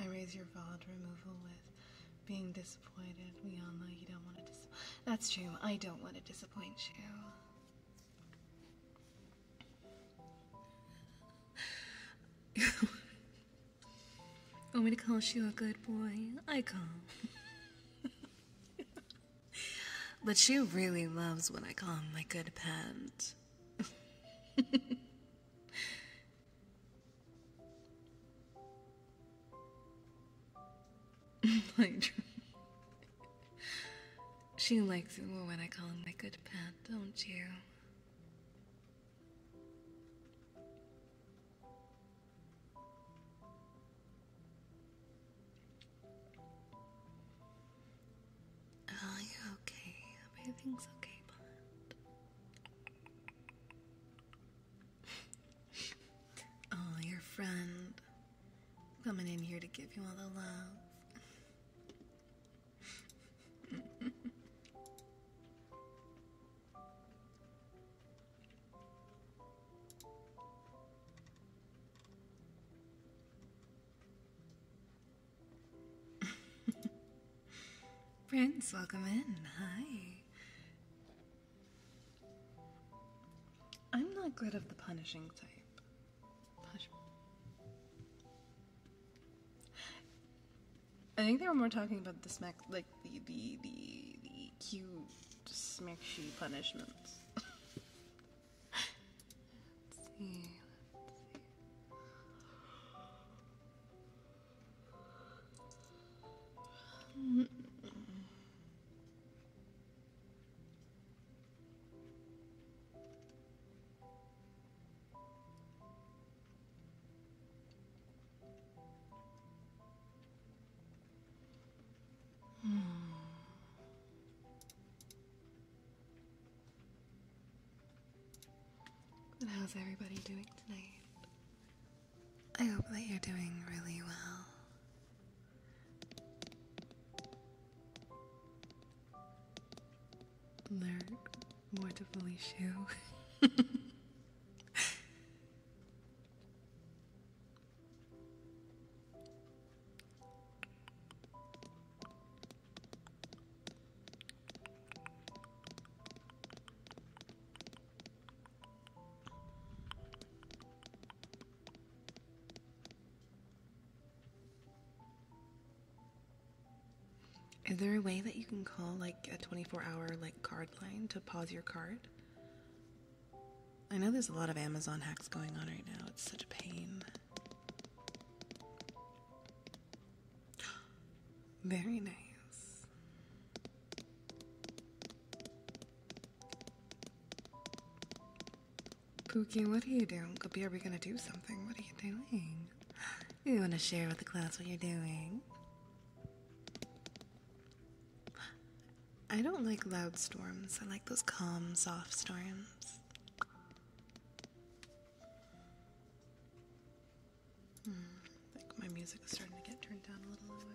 I raise your valid removal with being disappointed. We you don't want to dis- That's true. I don't want to disappoint you. Want me to call you a good boy? I call. but she really loves when I call him my good pet. *laughs* my she likes it more when I call him my good pet, don't you? Oh, you okay. Everything's okay, but oh, your friend coming in here to give you all the love. Prince, welcome in. Hi. I'm not good of the punishing type. I think they were more talking about the smack, like the the the, the cute smackshy punishments. *laughs* But hmm. how's everybody doing tonight? I hope that you're doing really well. They're mortifully shoe. Is there a way that you can call like a 24 hour like card line to pause your card? I know there's a lot of Amazon hacks going on right now. It's such a pain. *gasps* Very nice. Pookie, what are you doing? Kabir, are we gonna do something? What are you doing? *gasps* You wanna share with the class what you're doing? I don't like loud storms. I like those calm, soft storms. Hmm. I my music is starting to get turned down a little lower.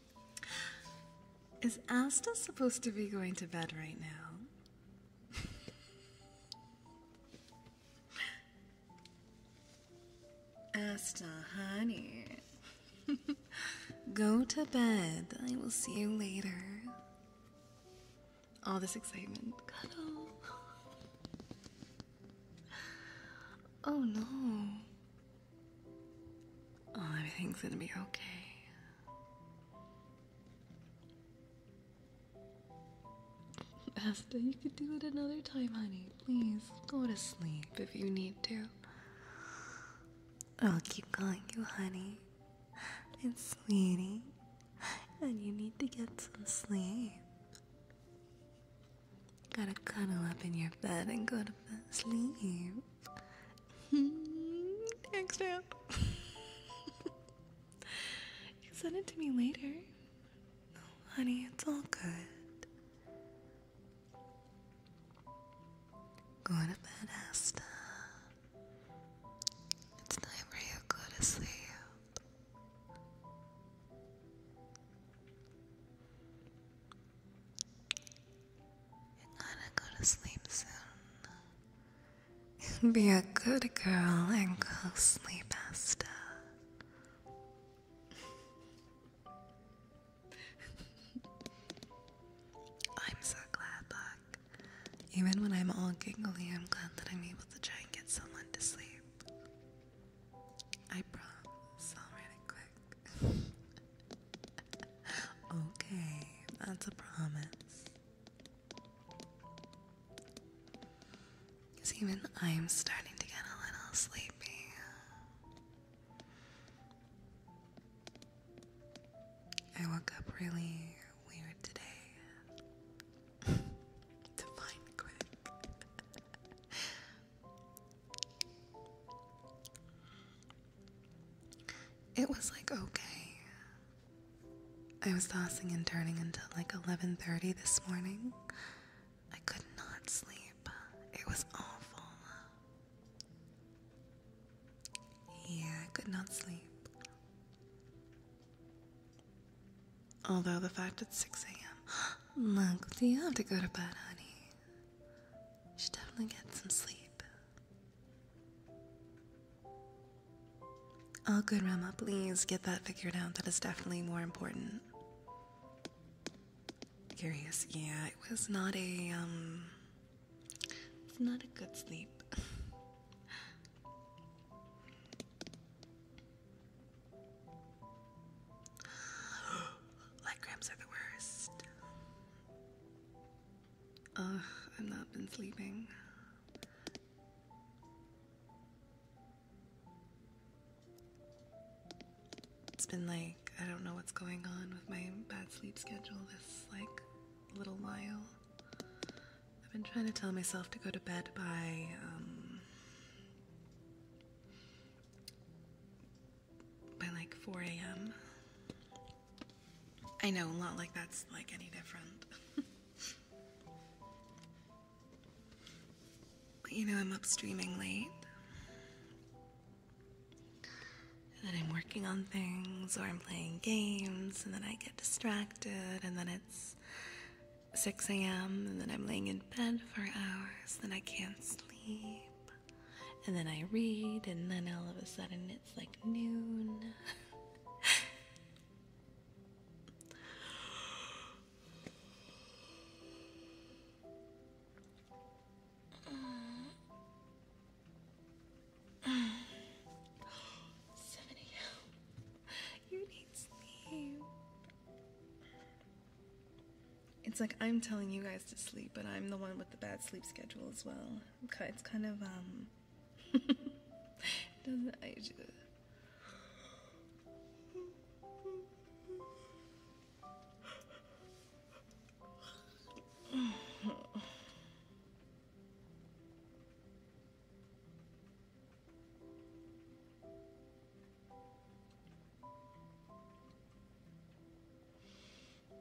Is Asta supposed to be going to bed right now? Asta, honey. *laughs* Go to bed. I will see you later. All this excitement. Cuddle. *laughs* Oh no. Oh, everything's gonna be okay. Asta, you could do it another time, honey. Please go to sleep if you need to. I'll keep calling you honey and sweetie, and you need to get some sleep. Gotta cuddle up in your bed and go to bed. Sleep. Thanks, hmm, *laughs* man. you can send it to me later. honey, it's all good. Go to bed, Asta. It's time for you to go to sleep. You're gonna go to sleep soon. *laughs* Be a good girl and go sleep, Asta. *laughs* I'm so glad, Even when I'm all giggly, I'm glad that I'm able to try and get someone to sleep. I promise. I'll write it quick. *laughs* okay, that's a promise. Because I'm starting to get a little sleepy. I woke up really weird today. *laughs* to find quick. It was like okay. I was tossing and turning until like 11:30 this morning. I could not sleep. It was awful. Yeah, I could not sleep. Although the fact it's 6 a.m. *gasps* Look, do you have to go to bed, honey? You should definitely get some sleep. Oh, good, Rama. Please get that figured out. That is definitely more important. Curious. Yeah, it was not a, um, it's not a good sleep. *gasps* Light cramps are the worst. Ugh, I've not been sleeping. It's been like, I don't know what's going on with my bad sleep schedule this, like, little while. I've been trying to tell myself to go to bed by, um, by like 4 a.m. I know, not like that's like any different. *laughs* but you know, I'm up streaming late. And then I'm working on things or I'm playing games and then I get distracted and then it's 6 a.m. and then I'm laying in bed for hours, then I can't sleep. And then I read, and then all of a sudden it it's like noon. Seven AM. You need sleep. It's like I'm telling you guys to sleep, but I'm the one with the bad sleep schedule as well. it's kind of um doesn't age you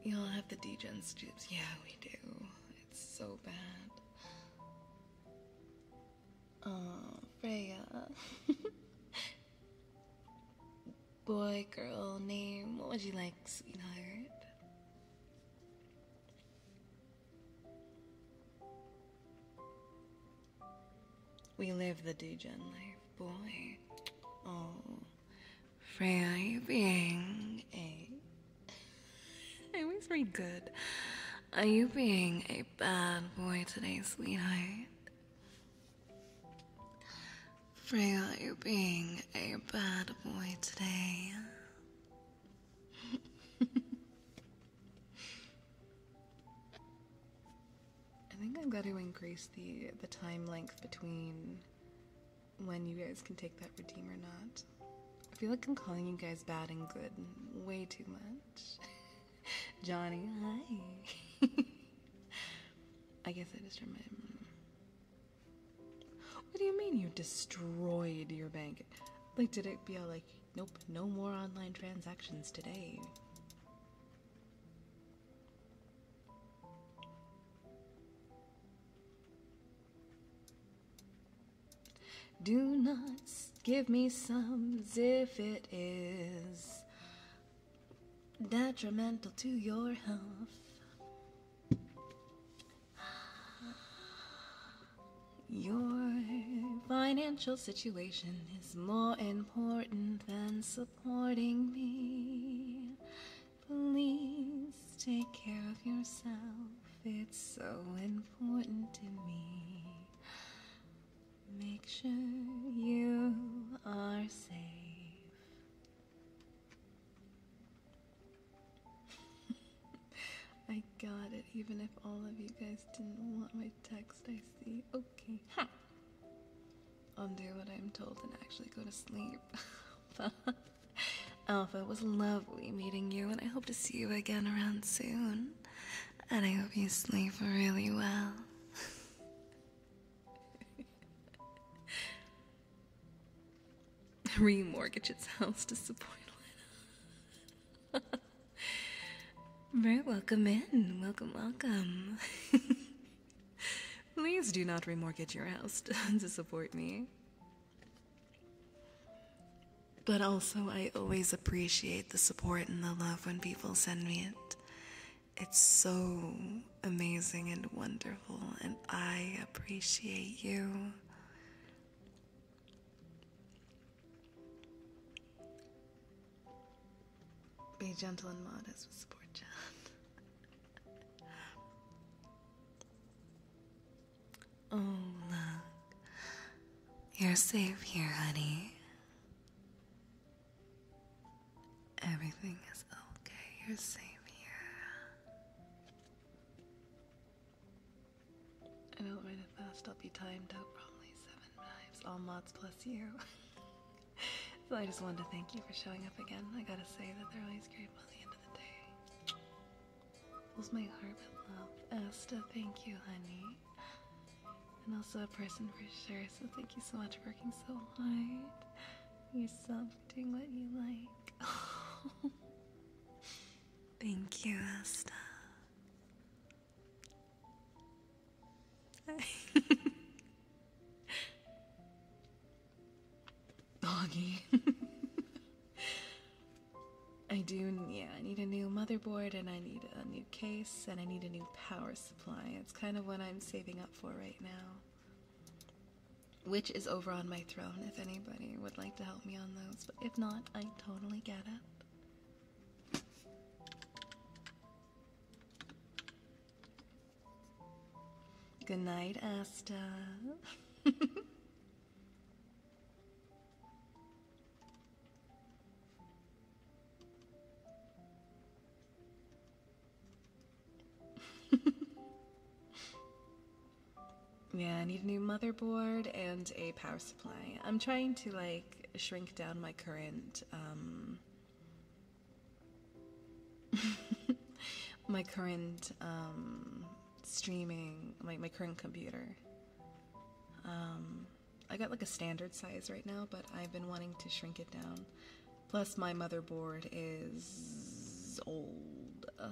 you all have the degen stoops. Yeah, we do. It's so bad. Freya. *laughs* Boy, girl, name. What would you like, sweetheart? We live the degen life, boy. Freya, being a? It was very good. Are you being a bad boy today, sweetheart? Freya, are you being a bad boy today? *laughs* I think I've got to increase the the time length between when you guys can take that redeem or not. I feel like I'm calling you guys bad and good way too much. *laughs* Johnny, hi. *laughs* I guess I just remember. What do you mean you destroyed your bank? Like, did it be all like, nope, no more online transactions today? Do not give me sums if it is detrimental to your health. Your financial situation is more important than supporting me. Please take care of yourself. It's so important to me. Make sure you are safe. *laughs* I got it, even if all of you guys didn't want my text, I see. Okay. I'll do what I'm told and actually go to sleep. *laughs* *laughs* Alpha, it was lovely meeting you, and I hope to see you again around soon. And I hope you sleep really well. *laughs* Remortgage its house to support *laughs* Very welcome in. Welcome, welcome. Please do not remortgage your house to support me. But also, I always appreciate the support and the love when people send me it. It's so amazing and wonderful, and I appreciate you. Be gentle and modest with support, John. *laughs* Oh, look. You're safe here, honey. Everything is okay. You're safe here. I don't run it fast. I'll be timed out probably seven knives, all mods plus you. *laughs* so I just wanted to thank you for showing up again. I gotta say that they're always great. By the end of the day fills my heart with love. Asta, thank you, honey. And also a person for sure, so thank you so much for working so hard. You're something what you like. *laughs* thank you, Asta. *laughs* Boggy. I do, yeah, I need a new motherboard and I need a new case and I need a new power supply. It's kind of what I'm saving up for right now. Which is over on my throne if anybody would like to help me on those, but if not, I totally get it. Good night, Asta. *laughs* *laughs* yeah, I need a new motherboard and a power supply. I'm trying to like shrink down my current um, *laughs* my current um, streaming my, my current computer. Um, I got like a standard size right now, but I've been wanting to shrink it down. Plus, my motherboard is old. Oh,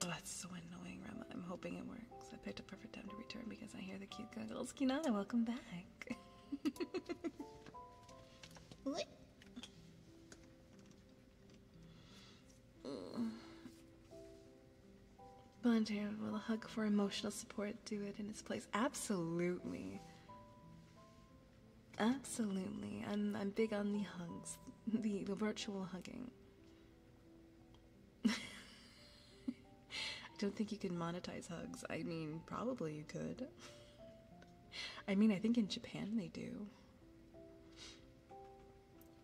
that's so annoying, Rama. I'm hoping it works. I picked a perfect time to return because I hear the cute giggles. Kinana, welcome back what? Volunteer will a hug for emotional support do it in its place. Absolutely. Absolutely. I'm I'm big on the hugs. *laughs* The the virtual hugging. *laughs* I don't think you can monetize hugs. I mean, probably you could. *laughs* I mean, I think in Japan they do.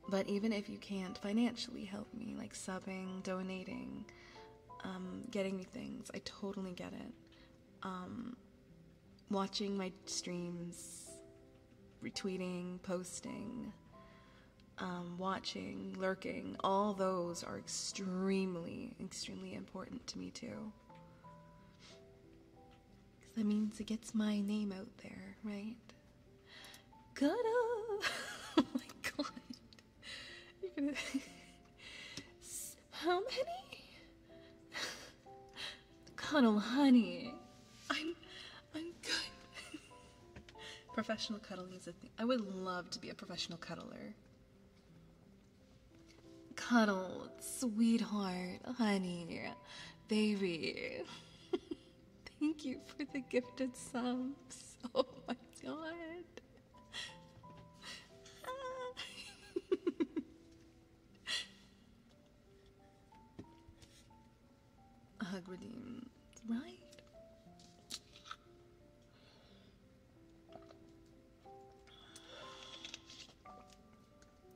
But even if you can't financially help me, like subbing, donating, um, getting me things, I totally get it. Um, watching my streams, retweeting, posting, um, watching, lurking, all those are extremely, extremely important to me too. Because that means it gets my name out there, right? got *laughs* oh my god. *laughs* How many? *laughs* Cuddle, honey. I'm. I'm good. professional cuddling is a thing. I would love to be a professional cuddler. Cuddle, sweetheart, honey, baby. *laughs* Thank you for the gifted subs. *laughs* Oh my god. *laughs* Hug redeemed, right?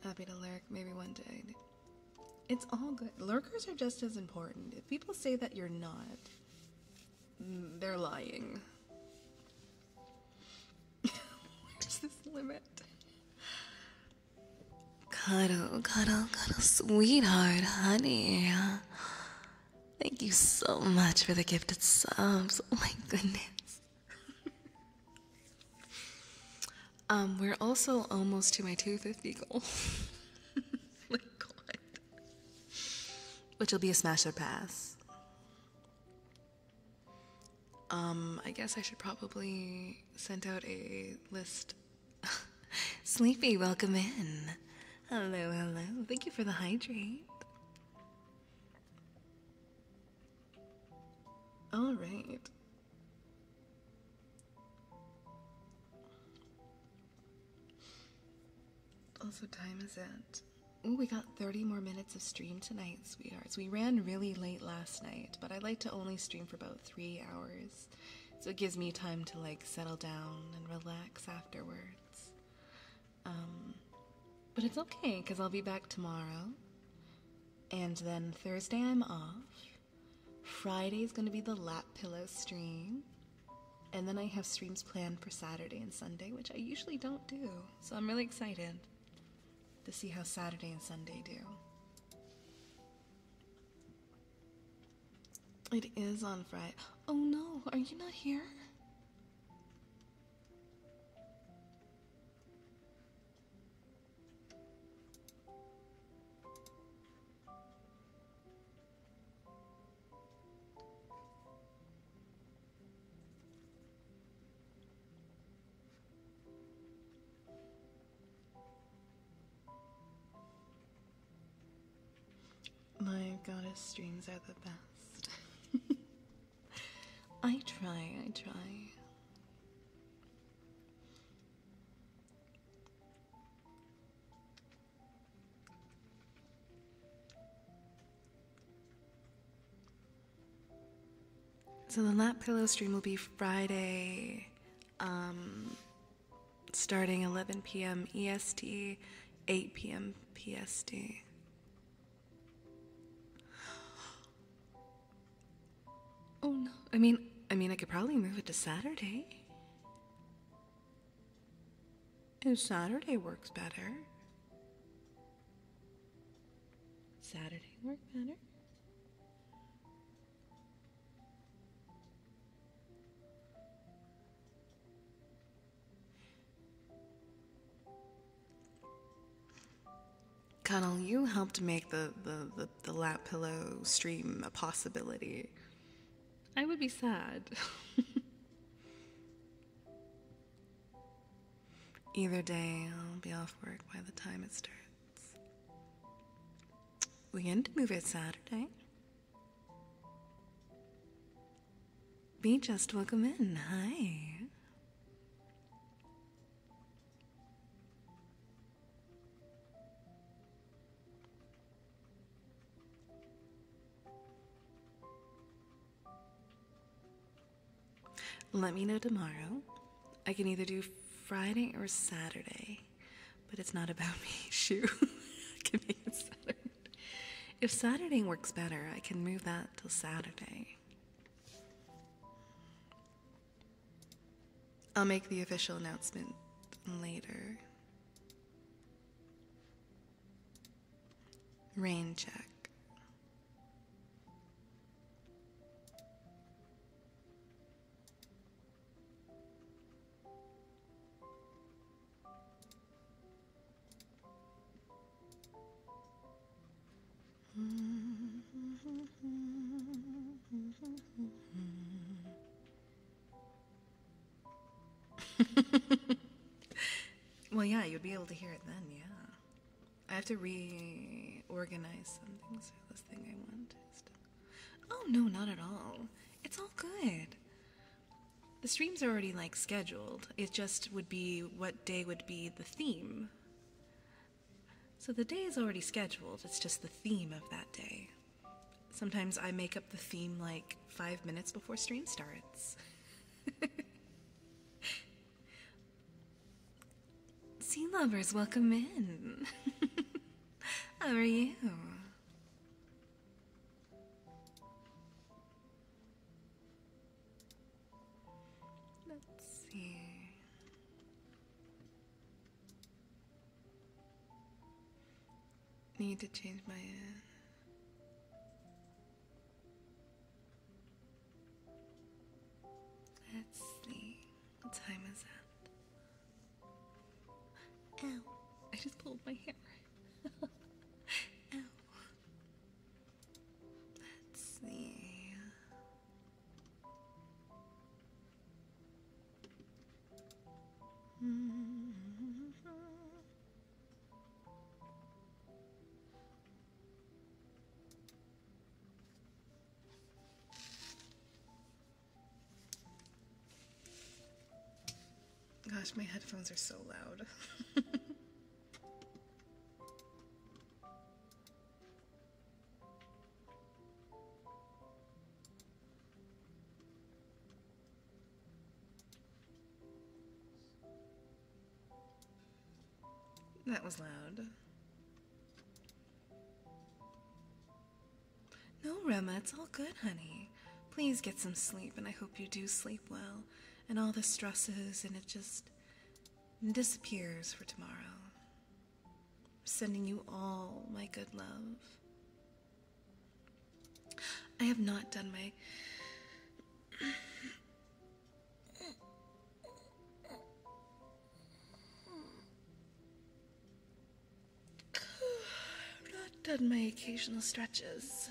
Happy to lurk, maybe one day. It's all good. Lurkers are just as important. If people say that you're not, mm, they're lying. *laughs* Where's this limit? Cuddle, cuddle, cuddle, sweetheart, honey. Thank you so much for the gifted subs. Oh my goodness. *laughs* Um, we're also almost to my 250 goal. *laughs* Which will be a smash or pass. Um, I guess I should probably send out a list. *laughs* Sleepy, welcome in. Hello, hello. Thank you for the hydrate. All right. Also, time is it. Oh, we got 30 more minutes of stream tonight, sweethearts. We ran really late last night, but I like to only stream for about three hours. So it gives me time to like settle down and relax afterwards. Um, but it's okay, because I'll be back tomorrow. And then Thursday I'm off. Friday is gonna be the lap pillow stream. And then I have streams planned for Saturday and Sunday, which I usually don't do. So I'm really excited to see how Saturday and Sunday do. It is on Friday. Oh no, are you not here? My goddess streams are the best. *laughs* I try, I try. So the lap pillow stream will be Friday, um, starting 11 p.m. EST, 8 p.m. PST. *gasps* Oh no. I mean, I mean, I could probably move it to Saturday. And Saturday works better. Saturday work better? Connell, you helped make the, the, the, lap pillow stream a possibility. I would be sad. *laughs* Either day, I'll be off work by the time it starts. We to move it Saturday. Be just welcome in. Hi. Let me know tomorrow. I can either do Friday or Saturday, but it's not about *laughs* me. Shoot, I can make it If Saturday works better, I can move that till Saturday. I'll make the official announcement later. Rain check. *laughs* well, yeah, you'd be able to hear it then, yeah. I have to reorganize some things I want. Oh, no, not at all. It's all good. The streams are already like scheduled. It just would be what day would be the theme. So the day is already scheduled, it's just the theme of that day. Sometimes I make up the theme like five minutes before stream starts. *laughs* sea lovers, welcome in. *laughs* How are you? Let's see. Need to change my. Uh, let's see. What time is that? Ow! I just pulled my hair. *laughs* Ow. Let's see. Gosh, my headphones are so loud. *laughs* That was loud. No, Rema, it's all good, honey. Please get some sleep, and I hope you do sleep well. And all the stresses, and it just disappears for tomorrow sending you all my good love. I have not done my. I've *sighs* not done my occasional stretches.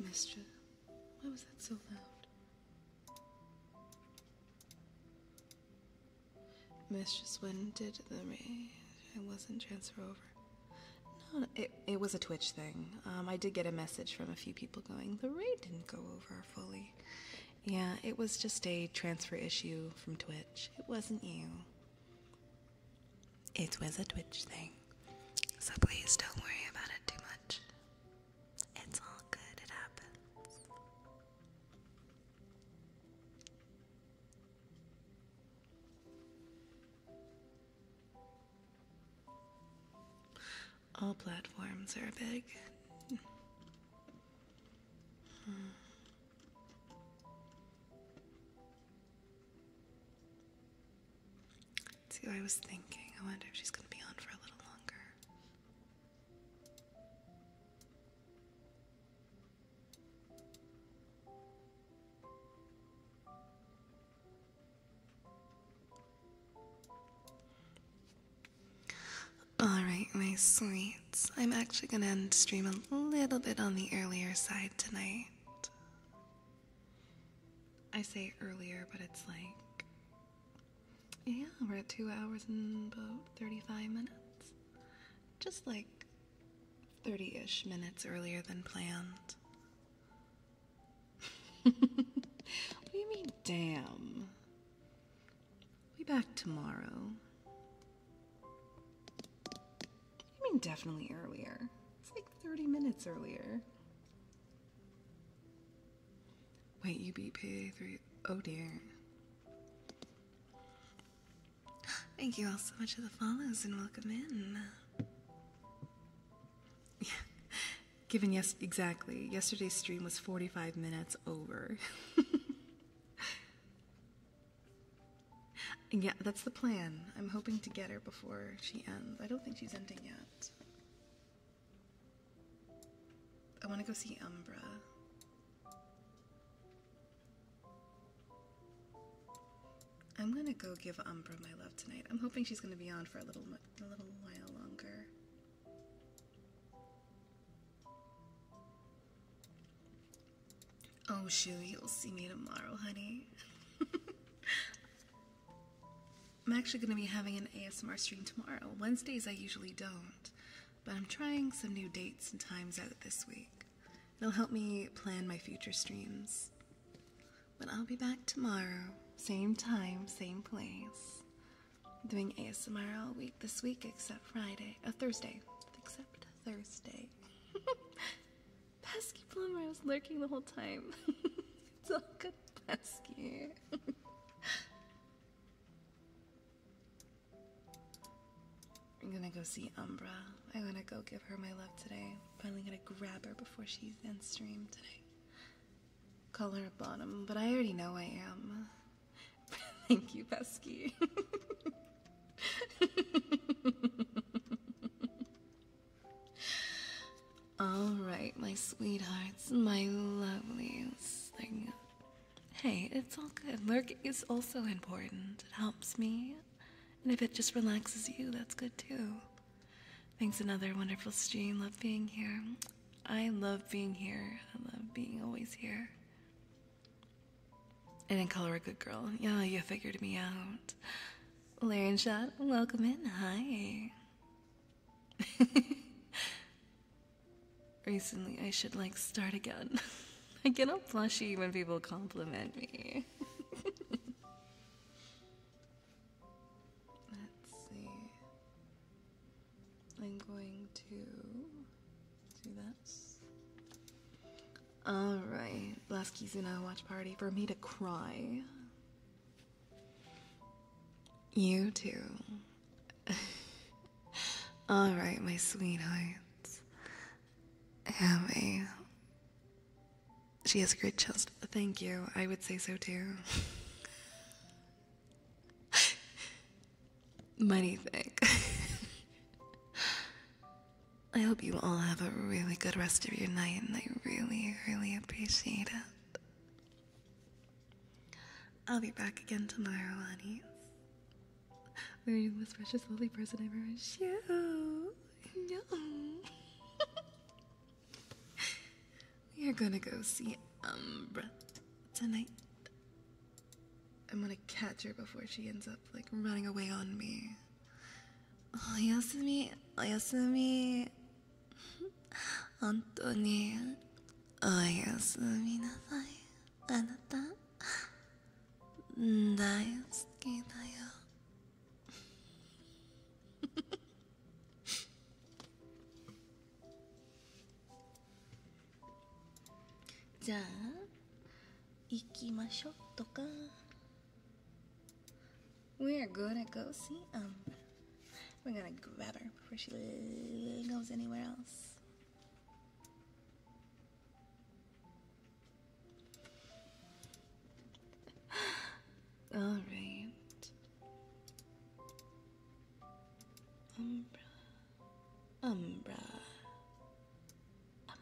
Mister, why was that so loud? Mistress, when did the raid? It wasn't transfer over. No, it, it was a Twitch thing. Um, I did get a message from a few people going, the raid didn't go over fully. Yeah, it was just a transfer issue from Twitch. It wasn't you. It was a Twitch thing, so please don't worry about it too much. It's all good, it happens. All platforms are big. Hmm. See, I was thinking. I wonder if she's going to be on for a little longer. Alright, my sweets. I'm actually going to end stream a little bit on the earlier side tonight. Uh, I say earlier, but it's like, yeah, we're at two hours and about 35 minutes. Just like 30 ish minutes earlier than planned. *laughs* what do you mean, damn? we back tomorrow. I mean definitely earlier. It's like 30 minutes earlier. Wait, you beat three. Oh dear. *gasps* Thank you all so much for the follows and welcome in. *laughs* Given yes, exactly. Yesterday's stream was 45 minutes over. *laughs* Yeah, that's the plan. I'm hoping to get her before she ends. I don't think she's ending yet. I want to go see Umbra. I'm gonna go give Umbra my love tonight. I'm hoping she's gonna be on for a little a little while longer. Oh, shoo, you'll see me tomorrow, honey. *laughs* I'm actually going to be having an ASMR stream tomorrow. Wednesdays I usually don't, but I'm trying some new dates and times out this week. It'll help me plan my future streams. But I'll be back tomorrow, same time, same place. doing ASMR all week this week except Friday, uh, Thursday, except Thursday. *laughs* Pesky plumber, was lurking the whole time. *laughs* it's good, pesky. *laughs* I'm gonna go see Umbra. I'm gonna go give her my love today. Finally gonna grab her before she's in stream today. Call her a bottom, but I already know I am. *laughs* Thank you, Pesky. Alright, my sweethearts, my lovelies. Hey, it's all good. Lurking is also important. It helps me. And if it just relaxes you, that's good too. Thanks another wonderful stream. Love being here. I love being here. I love being always here. And then call her a good girl. Yeah, you figured me out. Laren Shot, welcome in. Hi. *laughs* Recently, I should like start again. *laughs* I get all blushy when people compliment me. *laughs* Let's see. I'm going to do this. Alright, last Kizuna watch party for me to cry. You too. *laughs* Alright, my sweethearts. Have She has a great chest. Thank you. I would say so too. *laughs* Money thing. *laughs* I hope you all have a really good rest of your night, and I really, really appreciate it. I'll be back again tomorrow, honey. We're the most precious, lovely person ever met. You. we *laughs* are gonna go see Umbra tonight. I'm gonna catch her before she ends up, like, running away on me. おやすみおやすみ *laughs* 本当におやすみなさいあなた大好きだよ *laughs* じゃあ行きましょうとか。We are gonna go see Umbra. We're gonna grab her before she goes anywhere else. *gasps* All right. Umbra. Umbra. Umbra.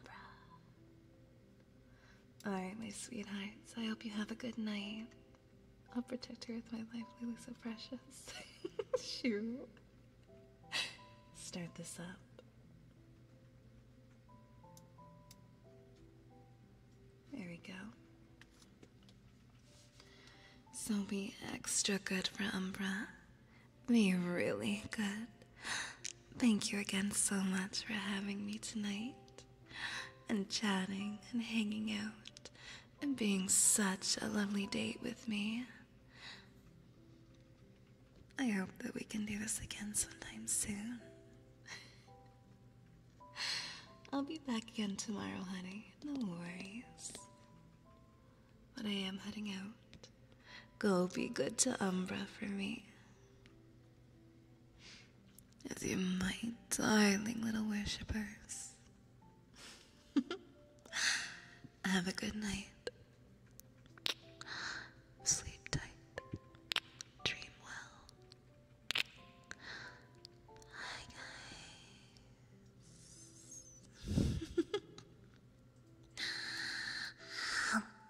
Alright, my sweethearts. I hope you have a good night. I'll protect her with my life, Lily, so precious. *laughs* Shoot. Start this up. There we go. So be extra good for Umbra. Be really good. Thank you again so much for having me tonight and chatting and hanging out and being such a lovely date with me. I hope that we can do this again sometime soon. *laughs* I'll be back again tomorrow, honey. No worries. But I am heading out. Go be good to Umbra for me as you, my darling little worshippers. *laughs* Have a good night. Sleep tight. Dream well. Hi, guys.